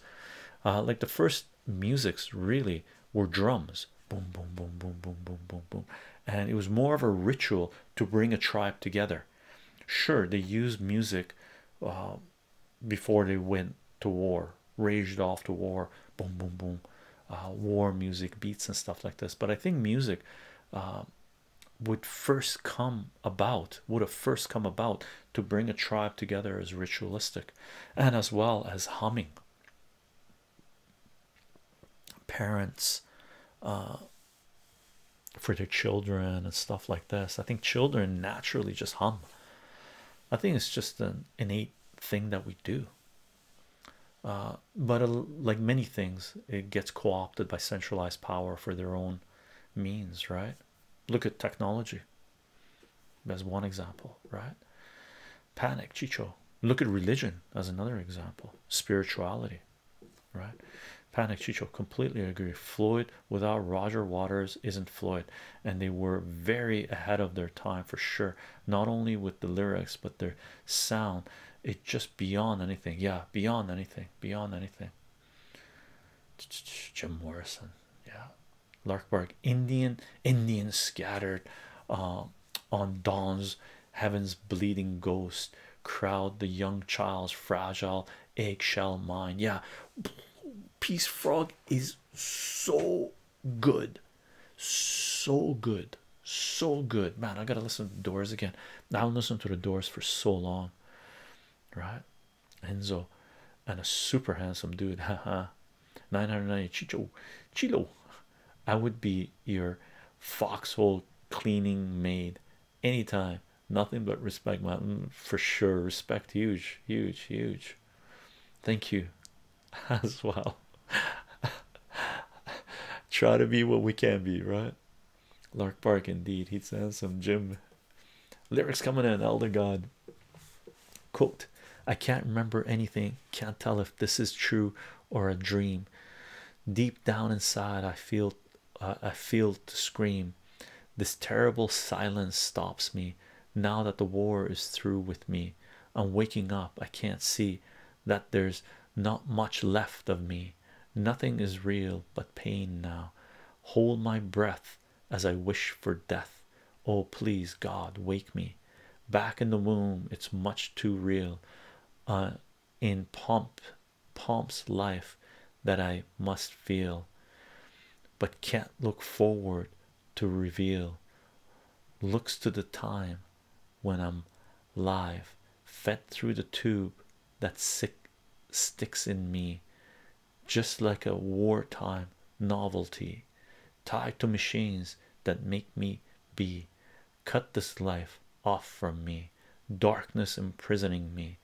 uh, like the first musics really were drums boom boom boom boom boom boom boom boom and it was more of a ritual to bring a tribe together sure they used music uh, before they went to war raged off to war boom boom boom uh, war music beats and stuff like this but i think music uh, would first come about would have first come about to bring a tribe together as ritualistic and as well as humming parents uh, for their children and stuff like this. I think children naturally just hum. I think it's just an innate thing that we do. Uh, but uh, like many things, it gets co-opted by centralized power for their own means, right? Look at technology as one example, right? Panic, Chicho. Look at religion as another example, spirituality, right? Panic, Chicho. Completely agree. Floyd without Roger Waters isn't Floyd, and they were very ahead of their time for sure. Not only with the lyrics, but their sound. It just beyond anything. Yeah, beyond anything. Beyond anything. Jim Morrison. Yeah, Larkbark Indian Indian scattered um, on dawn's heaven's bleeding ghost crowd the young child's fragile eggshell mind yeah peace frog is so good so good so good man I gotta listen to the doors again I will listen to the doors for so long right Enzo and a super handsome dude haha 990 chicho chilo i would be your foxhole cleaning maid anytime nothing but respect mountain mm, for sure respect huge huge huge thank you as well try to be what we can be right lark park indeed he's handsome jim lyrics coming in elder god Quote, I can't remember anything, can't tell if this is true or a dream. Deep down inside, I feel I feel to scream. This terrible silence stops me now that the war is through with me. I'm waking up, I can't see that there's not much left of me. Nothing is real but pain now. Hold my breath as I wish for death. Oh, please, God, wake me back in the womb. It's much too real uh, in pomp, pomp's life that I must feel, but can't look forward to reveal. Looks to the time when I'm live, fed through the tube that sick sticks in me, just like a wartime novelty tied to machines that make me be cut this life off from me darkness imprisoning me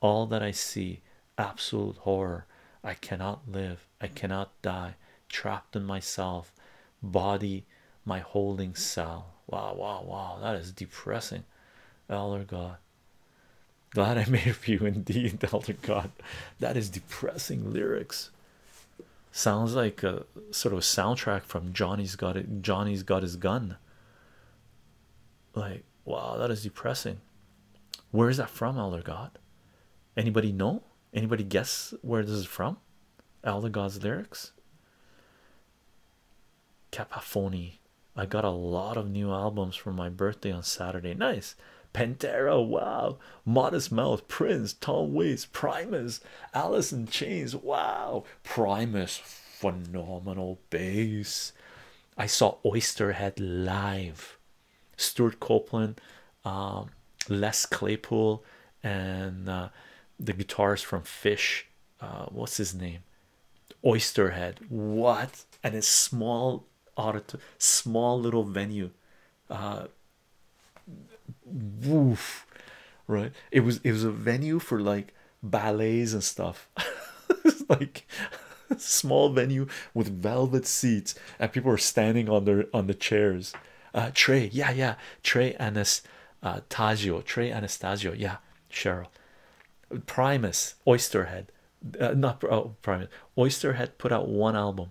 all that i see absolute horror i cannot live i cannot die trapped in myself body my holding cell wow wow wow that is depressing elder god glad i made for you indeed elder god that is depressing lyrics sounds like a sort of soundtrack from Johnny's got it Johnny's got his gun like wow that is depressing where is that from elder god anybody know anybody guess where this is from elder god's lyrics capaphony i got a lot of new albums for my birthday on saturday nice Pantera, wow, Modest Mouse, Prince, Tom Waits, Primus, Alice in Chains, wow, Primus, phenomenal bass. I saw Oysterhead live, Stuart Copeland, um, Les Claypool, and uh, the guitars from Fish. Uh, what's his name? Oysterhead. What? And a small auditor, small little venue. Uh, woof right it was it was a venue for like ballets and stuff it's like small venue with velvet seats and people were standing on their on the chairs uh, trey yeah yeah trey anas uh Tagio, trey anastasio yeah cheryl primus oysterhead uh, not oh, primus oysterhead put out one album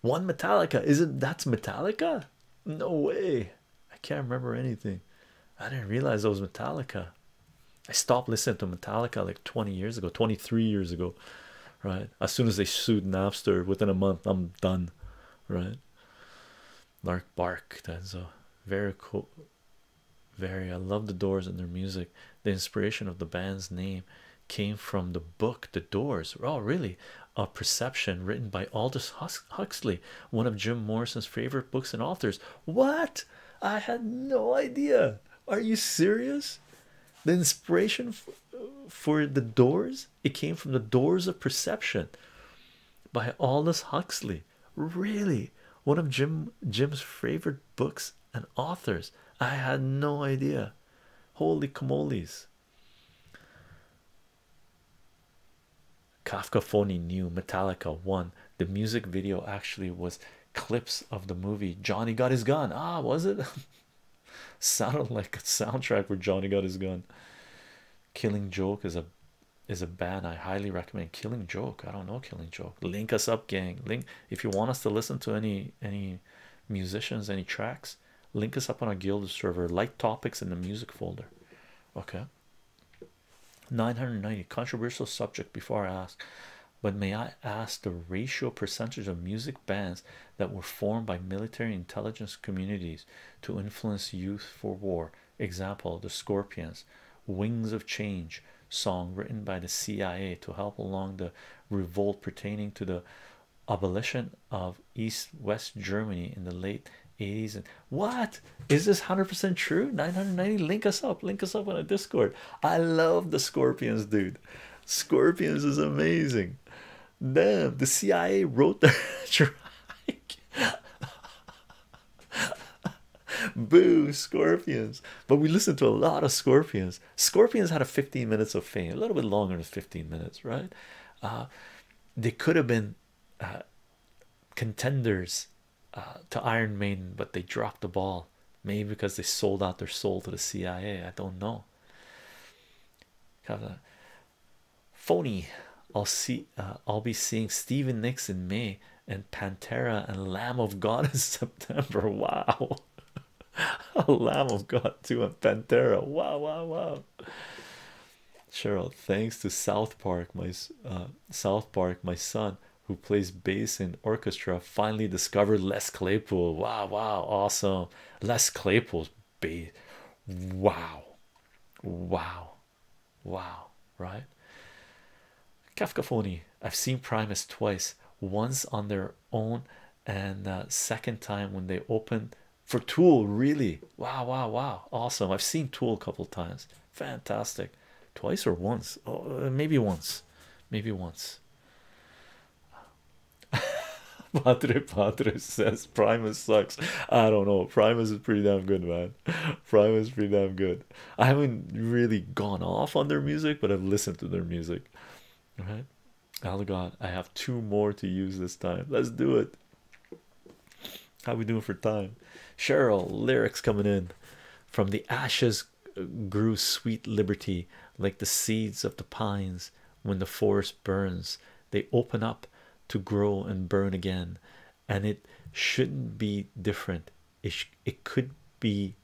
one Metallica is it that's Metallica? No way. I can't remember anything. I didn't realize it was Metallica. I stopped listening to Metallica like 20 years ago, 23 years ago, right? As soon as they sued Napster within a month, I'm done, right? Lark Bark, that's a very cool. Very, I love the doors and their music. The inspiration of the band's name came from the book The Doors. Oh, really? of Perception, written by Aldous Huxley, one of Jim Morrison's favorite books and authors. What? I had no idea. Are you serious? The inspiration for the doors it came from the doors of perception by Aldous Huxley. Really, one of Jim Jim's favorite books and authors. I had no idea. Holy camolies. Kafka phony knew Metallica One, The music video actually was clips of the movie Johnny Got His Gun. Ah, was it? Sounded like a soundtrack for Johnny got his gun. Killing Joke is a is a band I highly recommend. Killing Joke. I don't know Killing Joke. Link us up, gang. Link if you want us to listen to any any musicians, any tracks link us up on our guild server light topics in the music folder okay 990 controversial subject before I ask but may I ask the ratio percentage of music bands that were formed by military intelligence communities to influence youth for war example the Scorpions wings of change song written by the CIA to help along the revolt pertaining to the abolition of East West Germany in the late 80s. And what is this 100% true? 990. Link us up, link us up on a Discord. I love the Scorpions, dude. Scorpions is amazing. Damn, the CIA wrote the strike. Boo, Scorpions. But we listen to a lot of Scorpions. Scorpions had a 15 minutes of fame, a little bit longer than 15 minutes, right? Uh, they could have been uh, contenders uh, to Iron Maiden, but they dropped the ball. Maybe because they sold out their soul to the CIA. I don't know. Kind of phony. I'll see. Uh, I'll be seeing Steven Nicks in May and Pantera and Lamb of God in September. Wow. Lamb of God too and Pantera. Wow, wow, wow. Cheryl, thanks to South Park, my uh, South Park, my son who plays bass in orchestra finally discovered Les Claypool. Wow, wow, awesome! Les Claypool's bass. Wow, wow, wow, right? Kafkaphony. I've seen Primus twice, once on their own, and uh, second time when they opened for Tool, really. Wow, wow, wow. Awesome. I've seen Tool a couple times. Fantastic. Twice or once? Oh, uh, maybe once. Maybe once. Padre Padre says Primus sucks. I don't know. Primus is pretty damn good, man. Primus is pretty damn good. I haven't really gone off on their music, but I've listened to their music. All right. Oh God, I have two more to use this time. Let's do it. How we doing for time? Cheryl lyrics coming in from the ashes grew sweet liberty like the seeds of the pines when the forest burns they open up to grow and burn again and it shouldn't be different it, it could be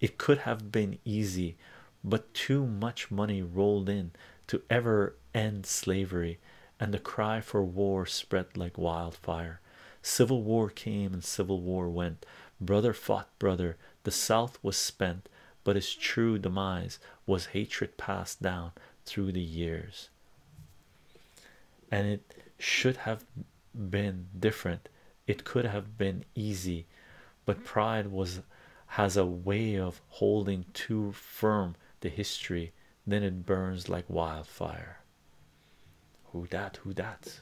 it could have been easy but too much money rolled in to ever end slavery and the cry for war spread like wildfire. Civil war came and civil war went. Brother fought brother. The South was spent, but its true demise was hatred passed down through the years. And it should have been different. It could have been easy, but pride was has a way of holding too firm the history, then it burns like wildfire. Who that? Who that?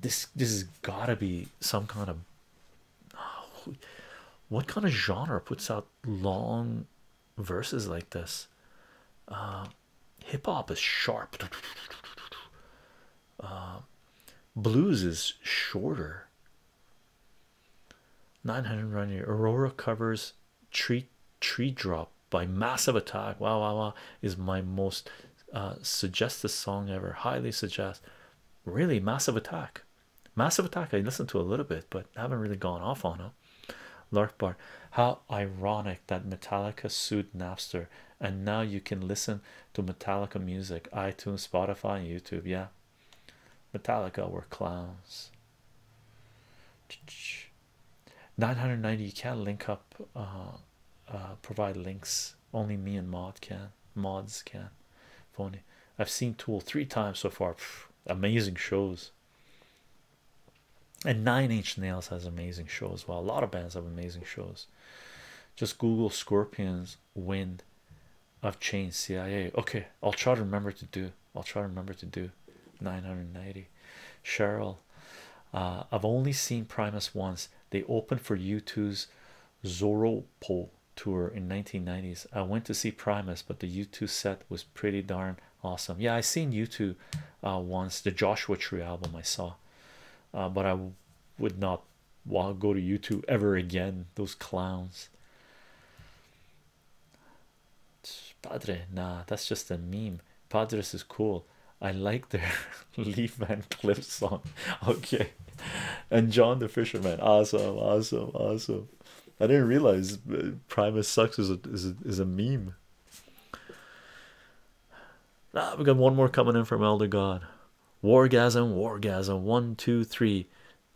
This this has gotta be some kind of what kind of genre puts out long verses like this? Uh, Hip hop is sharp. Uh, blues is shorter. 900 run year aurora covers tree tree drop by massive attack wow wow wow is my most uh suggested song ever highly suggest really massive attack massive attack i listened to a little bit but haven't really gone off on them lark how ironic that metallica sued napster and now you can listen to metallica music itunes spotify youtube yeah Metallica were clowns. 990 you can't link up uh, uh, provide links only me and mod can mods can phony I've seen tool three times so far amazing shows and nine inch nails has amazing shows well a lot of bands have amazing shows just Google scorpions wind I've changed CIA. Okay, I'll try to remember to do. I'll try to remember to do 990. Cheryl, uh, I've only seen Primus once. They opened for U2's Zoropol tour in 1990s. I went to see Primus, but the U2 set was pretty darn awesome. Yeah, I seen U2 uh, once. The Joshua Tree album I saw, uh, but I would not. Well, go to YouTube ever again. Those clowns. Padre, nah, that's just a meme. Padres is cool. I like their Leaf Man Cliff song. Okay, and John the Fisherman. Awesome, awesome, awesome. I didn't realize uh, Primus sucks is a is is a meme. Ah, we got one more coming in from Elder God. Wargasm, wargasm. One, two, three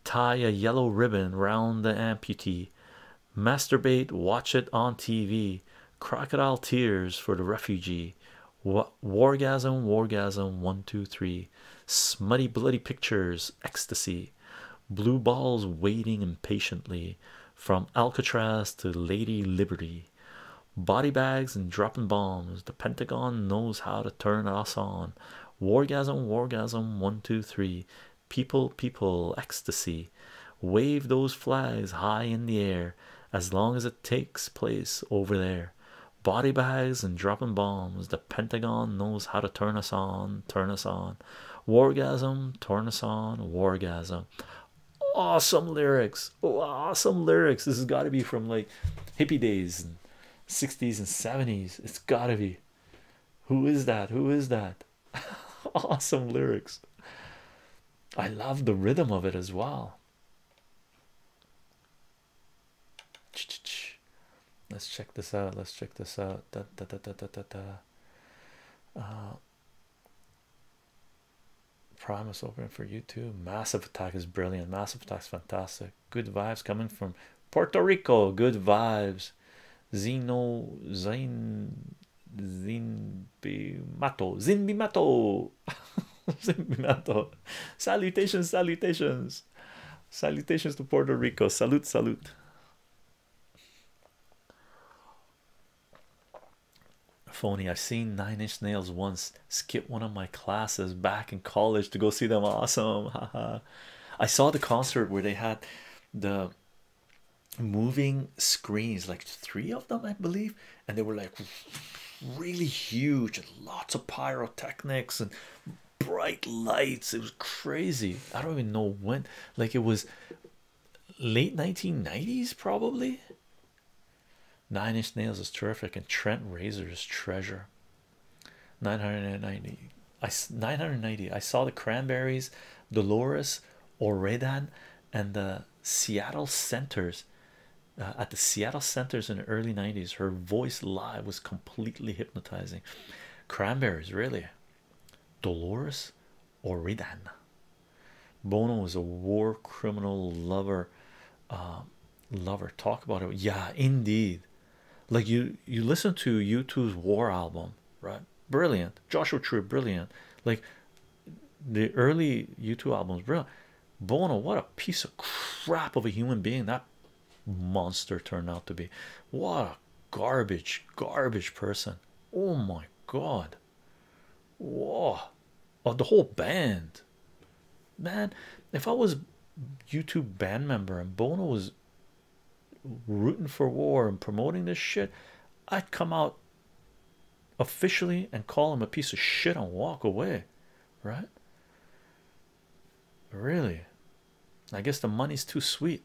tie a yellow ribbon round the amputee, masturbate, watch it on TV, crocodile tears for the refugee, wargasm, wargasm, one, two, three, smutty, bloody pictures, ecstasy, blue balls waiting impatiently from Alcatraz to Lady Liberty. Body bags and dropping bombs. The Pentagon knows how to turn us on wargasm wargasm one two three people people ecstasy wave those flags high in the air as long as it takes place over there body bags and dropping bombs the pentagon knows how to turn us on turn us on wargasm turn on wargasm awesome lyrics awesome lyrics this has got to be from like hippie days and 60s and 70s it's got to be who is that? Who is that? awesome lyrics. I love the rhythm of it as well. Let's check this out. Let's check this out. Uh, Promise opening for you too. Massive Attack is brilliant. Massive Attack's fantastic. Good vibes coming from Puerto Rico. Good vibes. Zeno Zin zin zin Zinbimato. Zinbimato. Zinbimato. Salutations, salutations. Salutations to Puerto Rico. Salute, salute. Phony, I've seen Nine Inch Nails once skip one of my classes back in college to go see them. Awesome. Uh, I saw the concert where they had the moving screens, like three of them, I believe, and they were like really huge and lots of pyrotechnics and bright lights. It was crazy. I don't even know when, like, it was late 1990s, probably. Nine Inch Nails is terrific, and Trent Reznor is treasure. 990 i 990 i saw the cranberries dolores oredan and the seattle centers uh, at the seattle centers in the early 90s her voice live was completely hypnotizing cranberries really dolores oredan bono was a war criminal lover uh, lover talk about it yeah indeed like you you listen to U2's War album, right? Brilliant, Joshua Tree, brilliant. Like the early U2 albums, brilliant. Bono, what a piece of crap of a human being that monster turned out to be. What a garbage, garbage person. Oh my god. Whoa. Oh, the whole band. Man, if I was YouTube band member and Bono was rooting for war and promoting this shit, I'd come out officially and call him a piece of shit and walk away, right? Really, I guess the money's too sweet.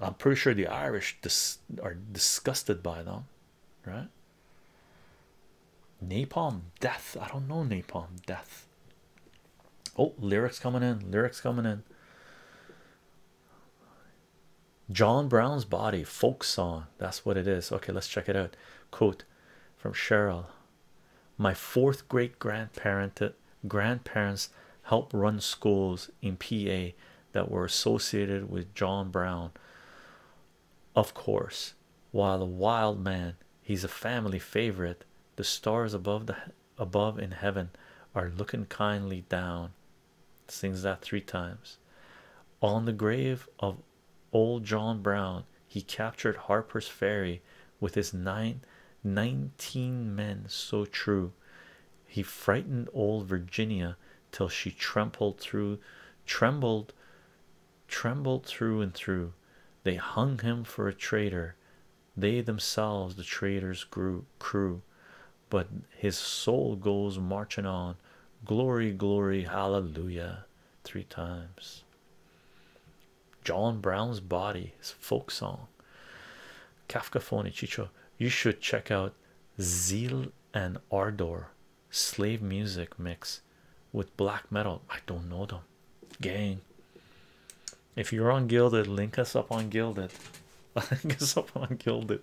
I'm pretty sure the Irish are disgusted by them, right? Napalm death. I don't know napalm death oh lyrics coming in lyrics coming in John Brown's body folk song that's what it is okay let's check it out quote from Cheryl my fourth great grandparent grandparents helped run schools in PA that were associated with John Brown of course while a wild man he's a family favorite the stars above the above in heaven are looking kindly down sings that three times on the grave of old john brown he captured harper's ferry with his nine nineteen men so true he frightened old virginia till she trembled through trembled trembled through and through they hung him for a traitor they themselves the traitors grew crew but his soul goes marching on glory glory hallelujah three times john brown's body his folk song kafka phony chicho you should check out zeal and ardor slave music mix with black metal i don't know them gang if you're on Gilded, link us up on Gilded. link us up on Gilded.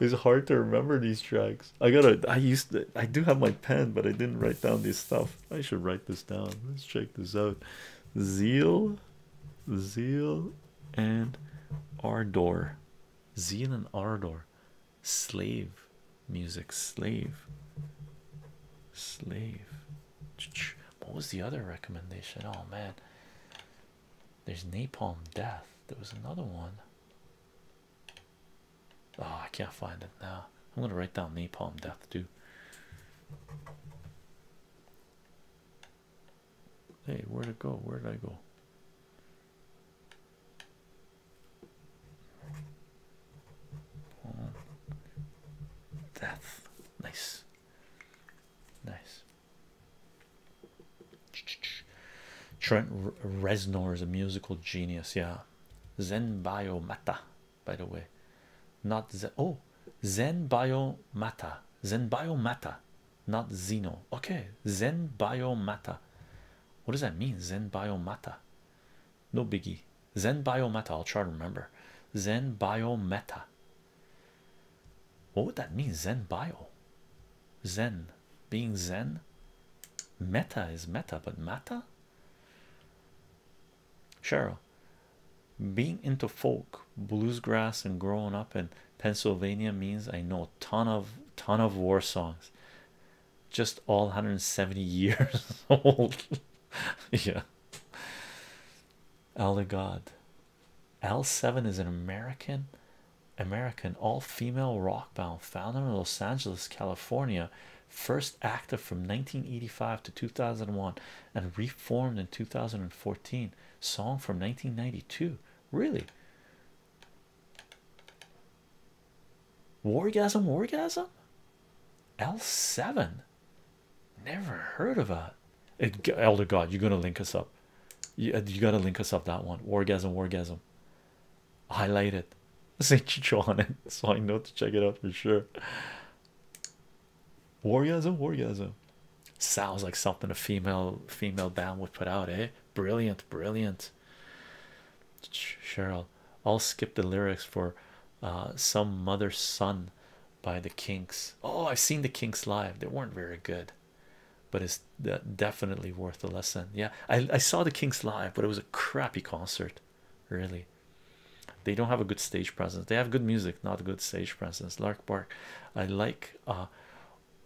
It's hard to remember these tracks. I gotta. I used. I do have my pen, but I didn't write down this stuff. I should write this down. Let's check this out. Zeal, Zeal, and Ardor. Zeal and Ardor. Slave music. Slave. Slave. What was the other recommendation? Oh man, there's Napalm Death. There was another one. Oh, I can't find it now. I'm gonna write down Napalm Death too. Hey, where'd it go? Where did I go? Death, nice. Nice. Trent Reznor is a musical genius. Yeah, Zen Bio Mata, by the way, not Zen. Oh, Zen Bio Mata, Zen Bio Mata, not Zeno. Okay, Zen Bio Mata. What does that mean? Zen Bio Mata. No biggie. Zen Bio Mata. I'll try to remember. Zen Bio Meta. What would that mean? Zen bio, Zen being Zen, meta is meta, but mata. Cheryl, being into folk, bluesgrass, and growing up in Pennsylvania means I know a ton of ton of war songs, just all 170 years old. yeah. Aligod. L7 is an American American all-female rock band founded in Los Angeles, California, first active from 1985 to 2001 and reformed in 2014. Song from 1992. Really? Wargasm, wargasm? L7. Never heard of that. It, Elder God, you're gonna link us up. You, uh, gotta link us up that one. Wargasm, orgasm. Highlight it. Say Chicho on it, so I know to check it out for sure. Wargasm, Wargasm. Sounds like something a female female band would put out, eh? Brilliant, brilliant. Cheryl, I'll skip the lyrics for uh, some mother son by the Kinks. Oh, I've seen the Kinks live. They weren't very good, but it's definitely worth the lesson. Yeah, I, I saw the Kinks live, but it was a crappy concert, really. They don't have a good stage presence. They have good music, not good stage presence. Lark Park. I like uh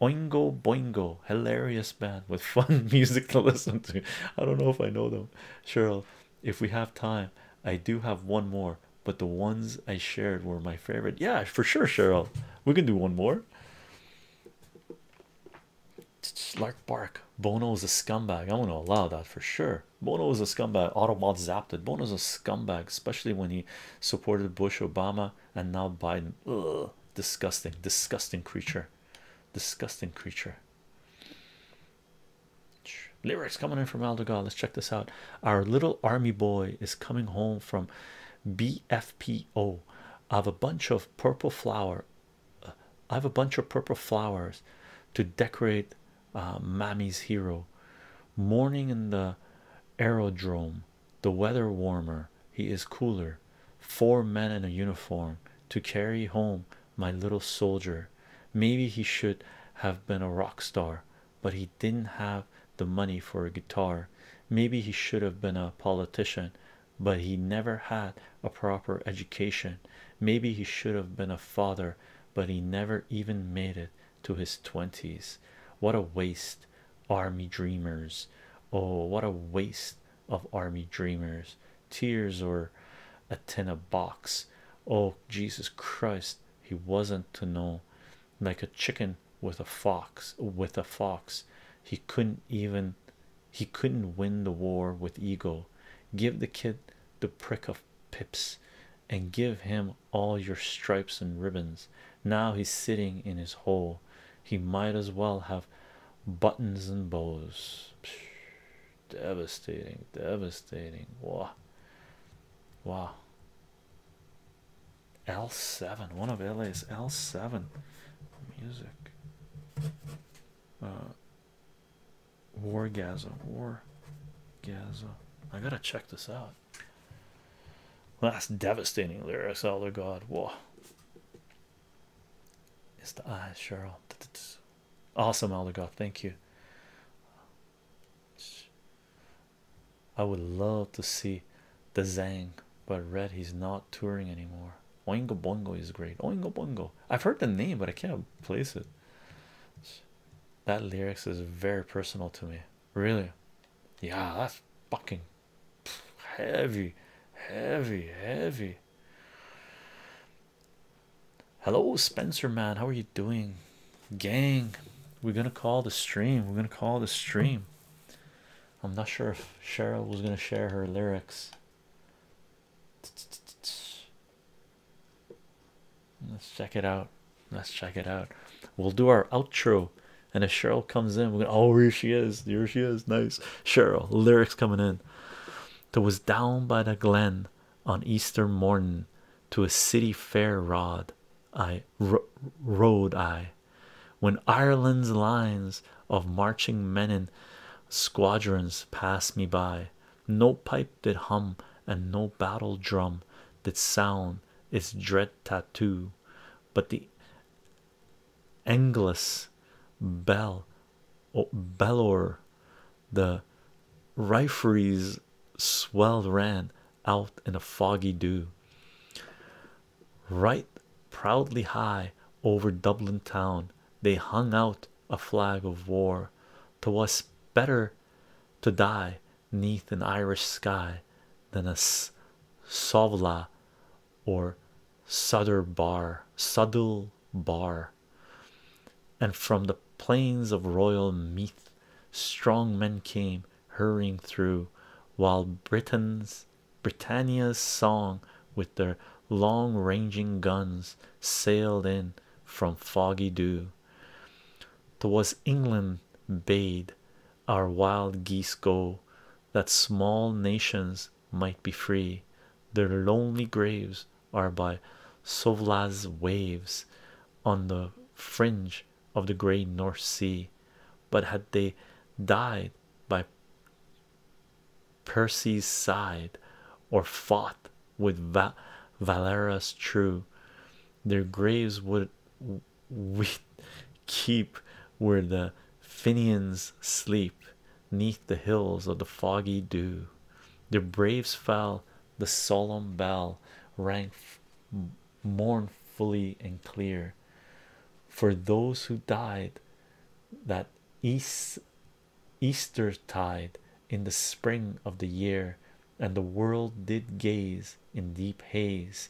Oingo Boingo, hilarious band with fun music to listen to. I don't know if I know them. Cheryl, if we have time, I do have one more but the ones I shared were my favorite. Yeah, for sure, Cheryl. We can do one more. It's like Bark. Bono is a scumbag. I'm gonna allow that for sure. Bono is a scumbag. Autobot zapped it. Bono is a scumbag, especially when he supported Bush, Obama, and now Biden. Ugh, disgusting, disgusting creature. Disgusting creature lyrics coming in from Aldegar. Let's check this out. Our little army boy is coming home from BFPO. I have a bunch of purple flower. Uh, I have a bunch of purple flowers to decorate uh, Mammy's hero. Morning in the aerodrome, the weather warmer. He is cooler. Four men in a uniform to carry home my little soldier. Maybe he should have been a rock star but he didn't have the money for a guitar. Maybe he should have been a politician, but he never had a proper education. Maybe he should have been a father, but he never even made it to his 20s. What a waste, army dreamers! Oh, what a waste of army dreamers! Tears or a tin box. Oh, Jesus Christ, he wasn't to know like a chicken with a fox with a fox he couldn't even he couldn't win the war with eagle. give the kid the prick of pips and give him all your stripes and ribbons now he's sitting in his hole he might as well have buttons and bows Psh, devastating devastating Wah. Wah. L7, one of L's. L7 music. Uh, war Gaza, War Gaza. I gotta check this out. Well, that's devastating lyrics, Elder God. Whoa, it's the eyes, Cheryl. Awesome, Elder God. Thank you. I would love to see the Zang, but read he's not touring anymore. Oingo Boingo is great. Oingo Boingo. I've heard the name, but I can't place it. That lyrics is very personal to me. Really? Yeah, that's fucking heavy, heavy, heavy. Hello, Spencer man. How are you doing? gang we're gonna call the stream we're gonna call the stream i'm not sure if cheryl was gonna share her lyrics let's check it out let's check it out we'll do our outro and if cheryl comes in we're gonna oh here she is here she is nice cheryl lyrics coming in that was down by the glen on easter morning to a city fair rod I rode I when Ireland's lines of marching men in squadrons passed me by, no pipe did hum and no battle drum did sound its dread tattoo, but the English bell oh, bellower, the rifleries swelled ran out in a foggy dew. Right proudly high over Dublin town, they hung out a flag of war, war. 'Twas better to die neath an Irish sky than a sovla or sudder bar, suddle bar. And from the plains of royal Meath, strong men came hurrying through, while Britain's Britannia's song with their long-ranging guns sailed in from foggy dew. Twas England bade our wild geese go, that small nations might be free. Their lonely graves are by Souvlas waves on the fringe of the grey North Sea, but had they died by Percy's side or fought with Va Valera's true, their graves would we keep where the Fenians sleep neath the hills of the foggy dew. Their braves fell, the solemn bell rang mournfully and clear for those who died that east easter tide in the spring of the year and the world did gaze in deep haze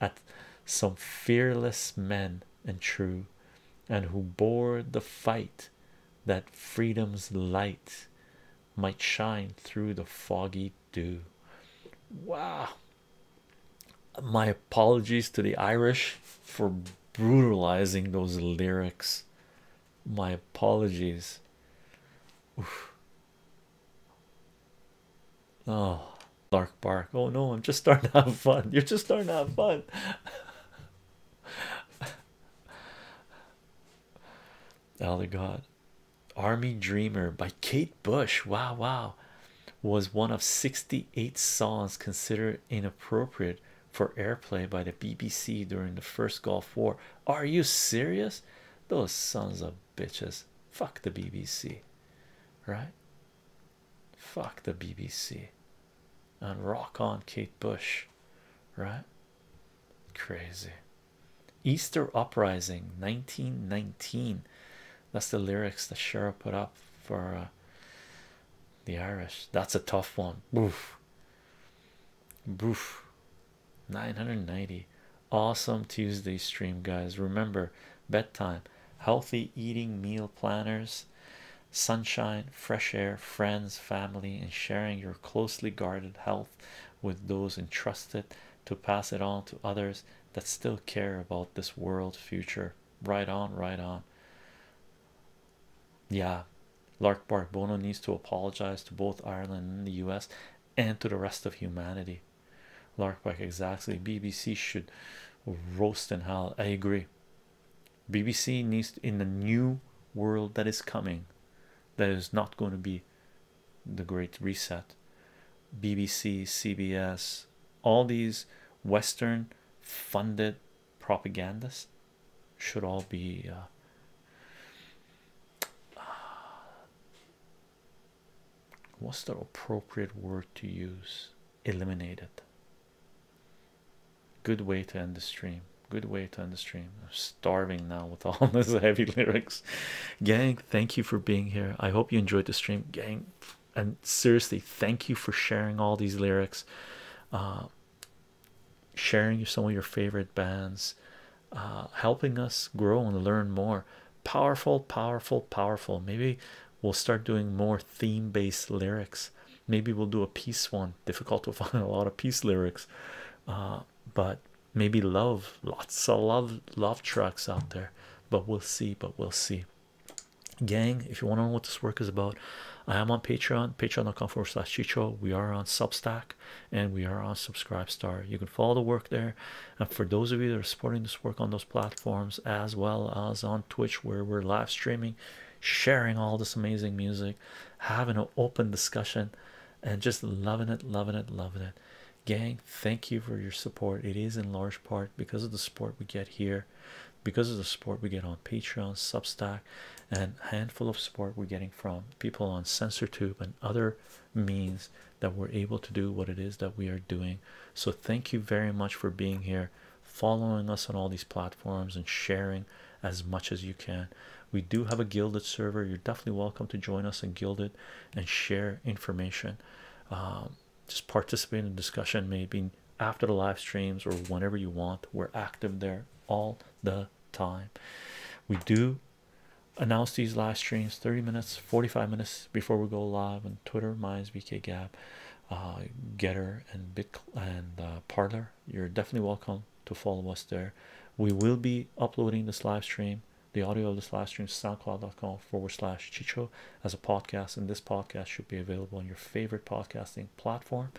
at some fearless men and true and who bore the fight that freedom's light might shine through the foggy do. Wow. My apologies to the Irish for brutalizing those lyrics. My apologies. Oh, Lark Bark. Oh no, I'm just starting to have fun. You're just starting to have fun. Elder God. Army Dreamer by Kate Bush. Wow, wow, was one of 68 songs considered inappropriate for airplay by the BBC during the first Gulf War. Are you serious? Those sons of bitches. Fuck the BBC, right? Fuck the BBC and rock on Kate Bush, right? Crazy. Easter Uprising 1919. That's the lyrics that Shara put up for uh, the Irish. That's a tough one. Boof. Boof. 990. Awesome Tuesday stream, guys. Remember bedtime, healthy eating meal planners, sunshine, fresh air, friends, family, and sharing your closely guarded health with those entrusted to pass it on to others that still care about this world future right on right on yeah lark Bono needs to apologize to both ireland and the u.s and to the rest of humanity Lark larkback exactly bbc should roast and hell. i agree bbc needs to, in the new world that is coming that is not going to be the Great Reset. BBC, CBS, all these Western funded propagandists should all be uh, what's the appropriate word to use? Eliminated. Good way to end the stream. Good way to end the stream. I'm starving now with all these heavy lyrics, gang thank you for being here. I hope you enjoyed the stream, gang. And seriously, thank you for sharing all these lyrics, uh, sharing some of your favorite bands, uh, helping us grow and learn more. Powerful, powerful, powerful. Maybe we'll start doing more theme based lyrics. Maybe we'll do a peace one. Difficult to find a lot of peace lyrics, uh, but maybe love lots of love love trucks out there but we'll see but we'll see gang if you want to know what this work is about i am on patreon patreon.com forward slash chicho we are on substack and we are on subscribe star you can follow the work there and for those of you that are supporting this work on those platforms as well as on twitch where we're live streaming sharing all this amazing music having an open discussion and just loving it loving it loving it gang thank you for your support it is in large part because of the support we get here because of the support we get on patreon substack and handful of support we're getting from people on SensorTube and other means that we're able to do what it is that we are doing so thank you very much for being here following us on all these platforms and sharing as much as you can we do have a gilded server you're definitely welcome to join us in gilded and share information. Um, just participate in the discussion, maybe after the live streams or whenever you want. We're active there all the time. We do announce these live streams 30 minutes, 45 minutes before we go live on Twitter, Minds, BK Gab, uh, Getter, and Bit and uh, Parlor. You're definitely welcome to follow us there. We will be uploading this live stream the audio of this live stream is soundcloud.com forward slash chicho as a podcast, and this podcast should be available on your favorite podcasting platform.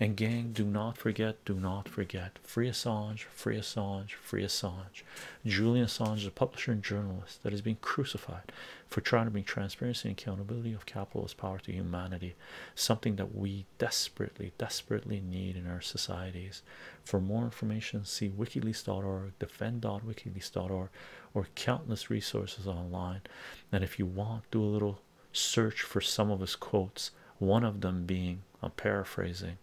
And gang, do not forget, do not forget, free Assange, free Assange, free Assange. Julian Assange is a publisher and journalist that has been crucified for trying to bring transparency and accountability of capitalist power to humanity, something that we desperately, desperately need in our societies. For more information, see wikileaks.org, defend.wikileaks.org, or countless resources online. And if you want, do a little search for some of his quotes, one of them being, I'm paraphrasing,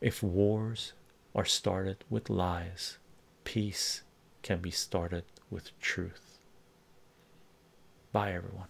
if wars are started with lies, peace can be started with truth. Bye, everyone.